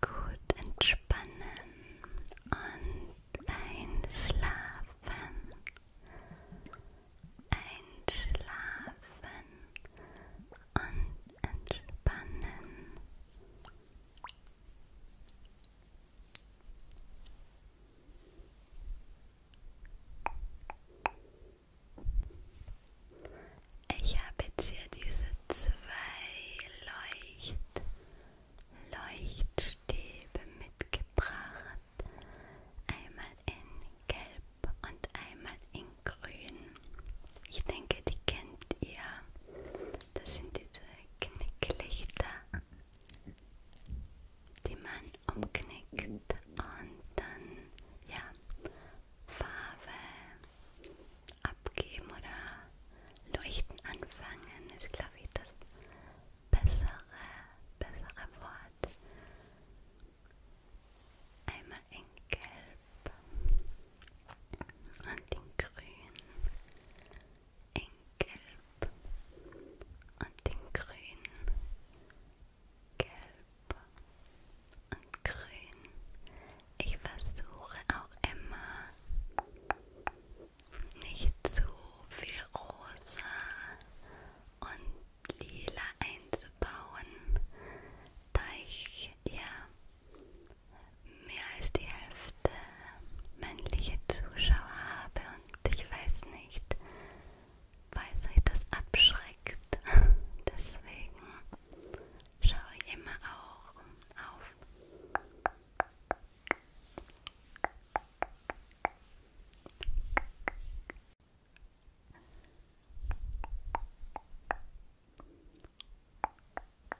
Gut entspannen und einschlafen. Einschlafen und entspannen. Ich habe jetzt hier diese zwei Leucht Leuchtstäbe mitgebracht. Einmal in Gelb und einmal in Grün. Ich denke, die kennt ihr. Das sind diese Knicklichter, die man umknickt und dann ja, Farbe abgeben oder leuchten anfangen. Ist glaube ich das bessere, bessere Wort. Einmal in Gelb Gelb und in Grün, in Gelb und in Grün, Gelb und Grün. Ich versuche auch immer nicht zu viel Rosa und Lila einzubauen, da ich ja mehr als die Hälfte männliche Zuschauer habe und ich weiß nicht, falls euch das abschreckt. Deswegen schaue ich immer auch auf.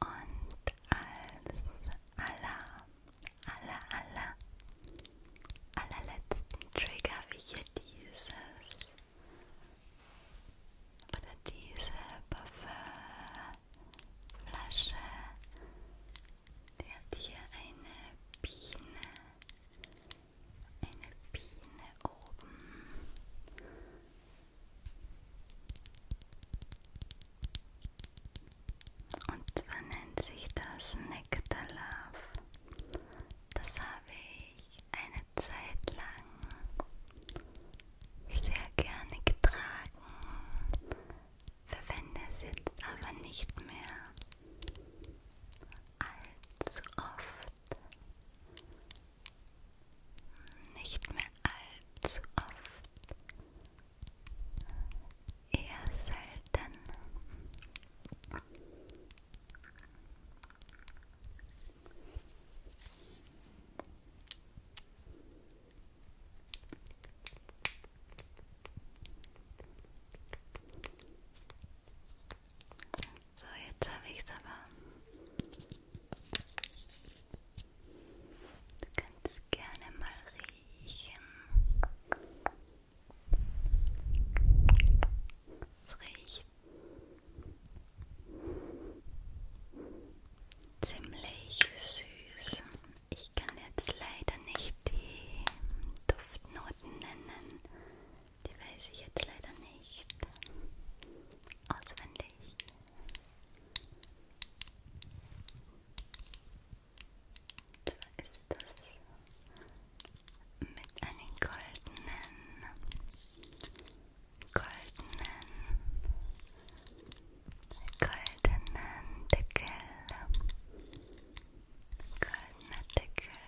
Und als aller, aller, aller, allerletzten Trigger habe ich hier dieses oder diese Parfümflasche. Die hat hier eine Biene eine Biene oben. Und zwar nennt sich das Nektarlove. Das habe ich eine Zeit lang sehr gerne getragen, verwende es jetzt aber nicht mehr allzu oft. Nicht mehr allzu oft. Eher selten. So, jetzt habe ich es aber. Du kannst gerne mal riechen. Es riecht ziemlich süß. Ich kann jetzt leider nicht die Duftnoten nennen. Die weiß ich jetzt leider nicht auswendig. Und zwar ist das mit einem goldenen, goldenen, goldenen Deckel. Goldener Deckel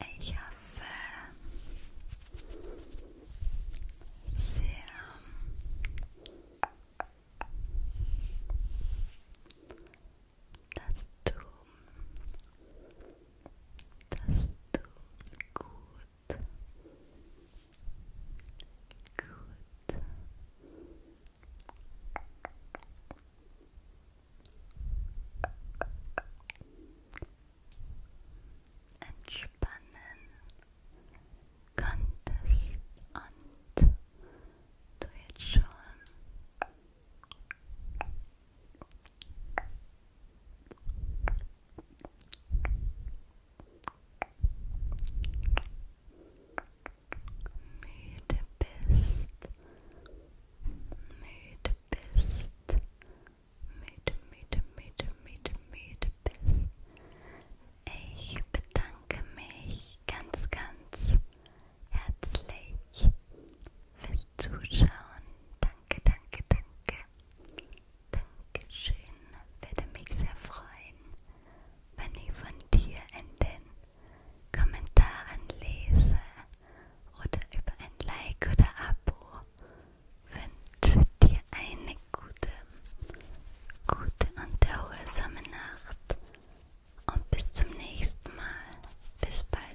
Ich ga sehr dat du, dass du gut, gut, entspannen konntest und du jetzt schon müde bist müde bist, müde, müde, müde, müde, müde bist. Ich bedanke mich ganz, ganz herzlich fürs Zuschauen. Danke, danke, danke. Dankeschön. Würde mich sehr freuen, wenn ich von dir in den Kommentaren lese oder über ein Like oder Abo wünsche dir eine gute, gute und erholsame Nacht und bis zum nächsten Mal. Bis bald.